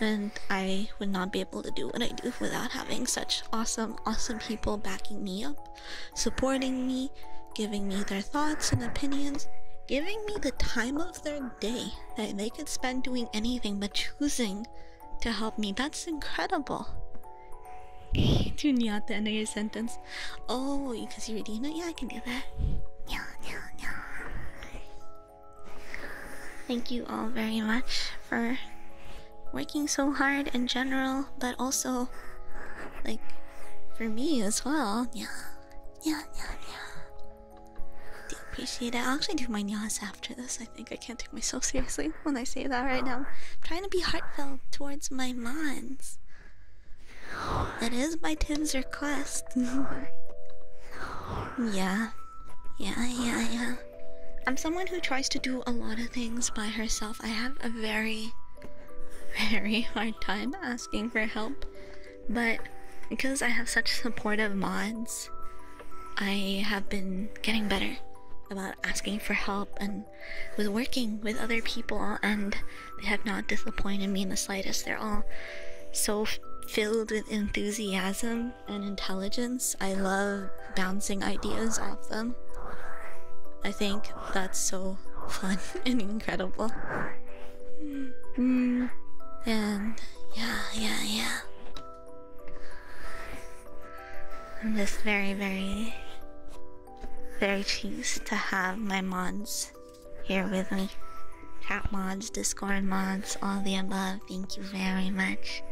And I would not be able to do what I do without having such awesome, awesome people backing me up, supporting me, giving me their thoughts and opinions, giving me the time of their day that they could spend doing anything but choosing to help me. That's incredible. do not the end of your sentence. Oh, because you redeemed it? Yeah, I can do that. Yeah, yeah, yeah. Thank you all very much for working so hard in general, but also like for me as well. Yeah. Yeah, yeah, yeah. Do appreciate it. I'll actually do my nyas after this. I think I can't take myself seriously when I say that right now. I'm trying to be heartfelt towards my mons. That is by Tim's request. yeah. Yeah, yeah, yeah. I'm someone who tries to do a lot of things by herself. I have a very, very hard time asking for help. But because I have such supportive mods, I have been getting better about asking for help and with working with other people, and they have not disappointed me in the slightest. They're all so filled with enthusiasm and intelligence. I love bouncing ideas off them. I think that's so fun and incredible. Mm. and yeah, yeah, yeah. I'm just very, very, very pleased to have my mods here with me. Chat mods, Discord mods, all the above. Thank you very much.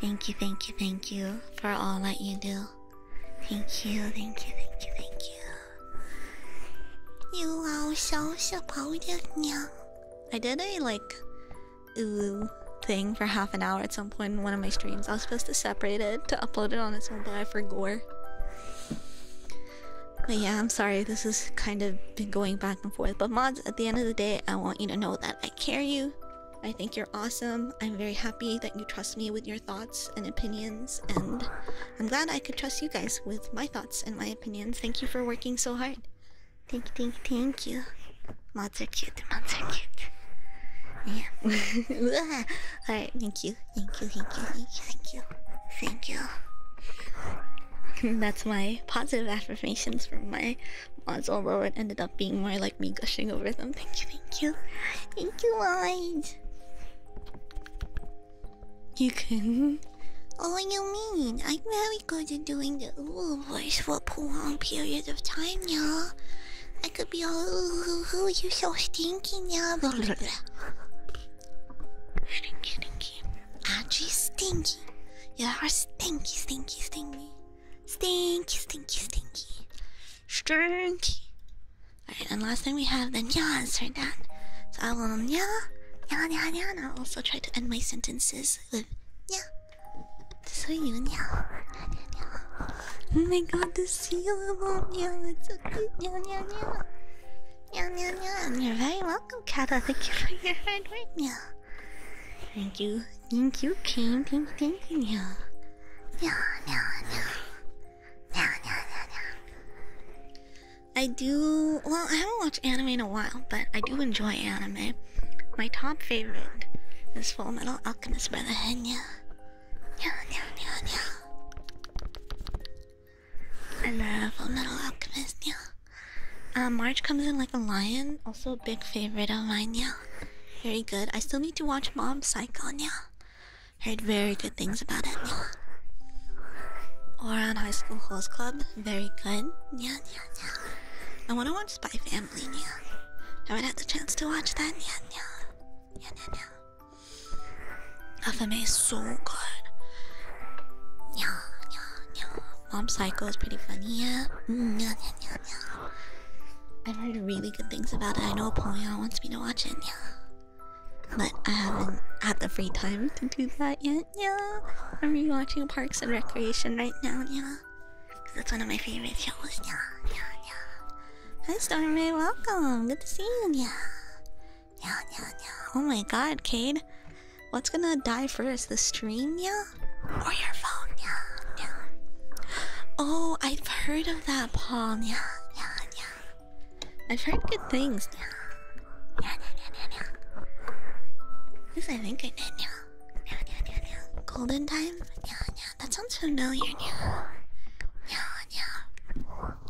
Thank you, thank you, thank you for all that you do. Thank you, thank you, thank you, thank you. You are so supportive, 小小宝的娘，I did a like ooh thing for half an hour at some point in one of my streams. I was supposed to separate it to upload it on its own, by for gore. But yeah, I'm sorry. This has kind of been going back and forth. But mods, at the end of the day, I want you to know that I care you. I think you're awesome. I'm very happy that you trust me with your thoughts and opinions, and I'm glad I could trust you guys with my thoughts and my opinions. Thank you for working so hard. Thank you, thank you, thank you. Mods are cute, mods are cute. Yeah. Alright, thank you, thank you, thank you, thank you, thank you. Thank you. That's my positive affirmations from my mods, although it ended up being more like me gushing over them. Thank you, thank you. Thank you, mods. You can um, oh, you mean? I'm very good at doing the ooh voice for prolonged periods of time now. I could be all ooh, ooh, ooh you're so stinky now. Blah, blah, blah. Stinky, stinky. Actually, stinky. You are stinky, stinky, stinky. Stinky, stinky, stinky. Stinky. Alright, and last time we have the nyas for that. So I will nya, nya, nya, nya, and I'll also try to end my sentences 死呀！所以你们娘娘，Oh my God, the seal of you, it's okay, meow, meow, meow, meow, meow, meow. You're very welcome, Kata. Thank you for your hard work, meow. Thank you, thank you, King. Thank you, thank you, meow, meow, meow, meow, meow, meow, meow. I do well, I haven't watched anime in a while, but I do enjoy anime. My top favorite is Full Metal Alchemist by the Henya. Yeah, yeah, yeah, yeah. I love Full Metal Alchemist, yeah. Um, March comes in like a lion, also a big favorite of mine, yeah. Very good. I still need to watch Mob Psycho, yeah. Heard very good things about it, yeah. on High School Host Club, very good, yeah, I want to watch Spy Family, yeah. I haven't had the chance to watch that, yet. FMA is so good. Yeah, yeah, yeah. Mom Psycho is pretty funny, mm, yeah. yeah, yeah, yeah, I've heard really good things about it. I know Apollyon wants me to watch it, yeah. But I haven't had the free time to do that yet it, yeah. I'm rewatching Parks and Recreation right now, yeah. Cause that's one of my favorite shows, yeah, yeah, yeah. Hi Stormy, welcome. Good to see you, yeah. Yeah, yeah, yeah. Oh my god, Cade. What's gonna die first? The stream, yeah? Or your phone, yeah, yeah. Oh, I've heard of that, Paul, yeah, yeah, yeah. I've heard good things, yeah. Yeah, yeah, yeah, yeah, yeah. Yes, I think I did, yeah yeah, yeah, yeah, yeah. Golden time? Yeah, yeah, that sounds familiar. Yeah, yeah, yeah.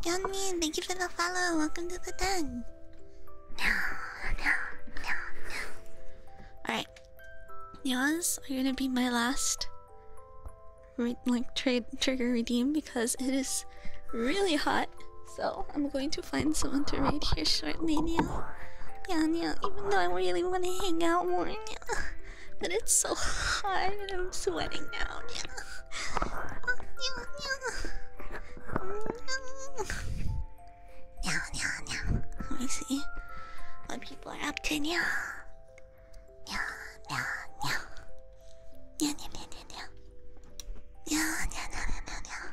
Yummy, thank you for the follow. Welcome to the den. Yeah, yeah, yeah, yeah. Alright. Yours are gonna be my last re like trade trigger redeem because it is really hot so I'm going to find someone to raid here shortly, Nia. Nia, even though I really want to hang out more, Nia. But it's so hot, and I'm sweating now, Nia. Nya, nya, Let me see what people are up to. Nya, nya, nya, nya. Nya, nya, nya, nya, nya. Nya, nya, nya, nya,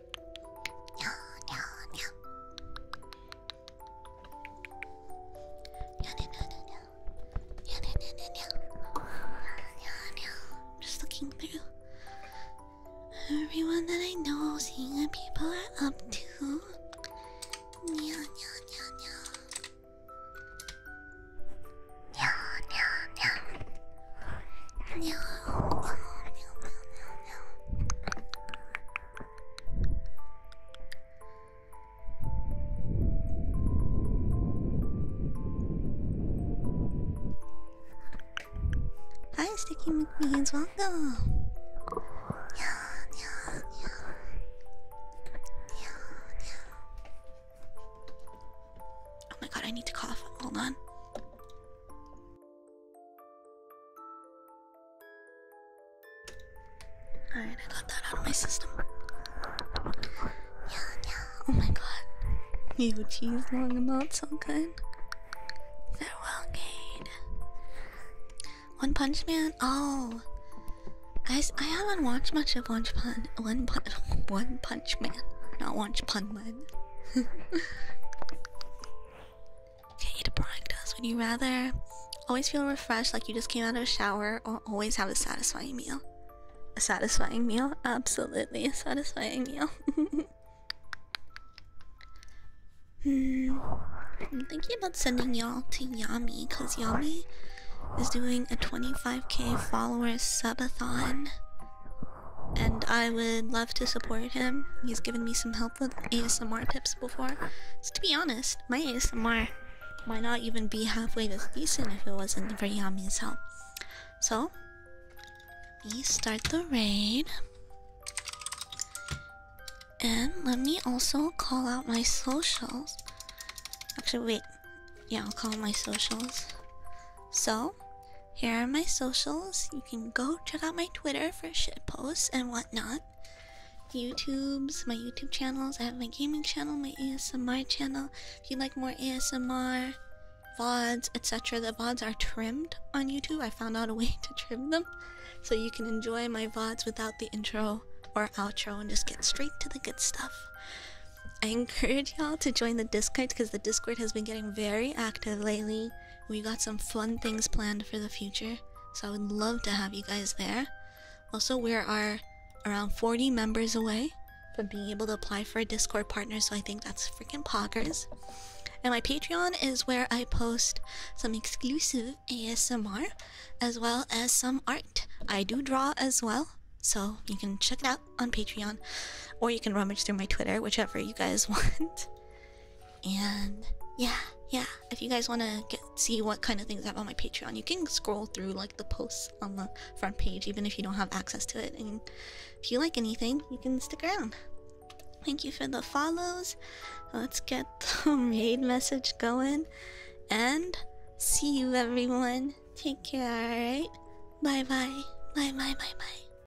Just looking through everyone that I know, seeing what people are up to. Nya, nya, nya, nya. Nya, nya, nya. Hi, Sticky McMeans, welcome. Oh my god, I need to cough. Hold on. Alright, I got that out of my system. Yeah, yeah. Oh my god. You tease long enough, not so good. Farewell, Kane. One Punch Man? Oh. Guys, I haven't watched much of One Punch One Punch One Punch Man. Not One Punch Man. Can't eat a Would you rather always feel refreshed like you just came out of a shower or always have a satisfying meal? A satisfying meal? Absolutely a satisfying meal. hmm. I'm thinking about sending y'all to Yami because Yami is doing a 25k follower subathon and I would love to support him. He's given me some help with ASMR tips before. So to be honest, my ASMR might not even be halfway decent if it wasn't for Yami's help. So, let me start the raid. And let me also call out my socials. Actually, wait. Yeah, I'll call my socials. So, here are my socials. You can go check out my Twitter for shit posts and whatnot. YouTube's, my YouTube channels. I have my gaming channel, my ASMR channel. If you like more ASMR, VODs, etc., the VODs are trimmed on YouTube. I found out a way to trim them so you can enjoy my VODs without the intro or outro and just get straight to the good stuff. I encourage y'all to join the Discord because the Discord has been getting very active lately. We got some fun things planned for the future, so I would love to have you guys there. Also, we are around 40 members away from being able to apply for a Discord partner, so I think that's freaking poggers. And my Patreon is where I post some exclusive ASMR as well as some art. I do draw as well, so you can check it out on Patreon or you can rummage through my Twitter, whichever you guys want. And yeah, yeah. If you guys want to get see what kind of things I have on my Patreon, you can scroll through like the posts on the front page, even if you don't have access to it. And if you like anything, you can stick around. Thank you for the follows. Let's get the raid message going. And see you everyone. Take care, alright? Bye bye. Bye bye bye bye.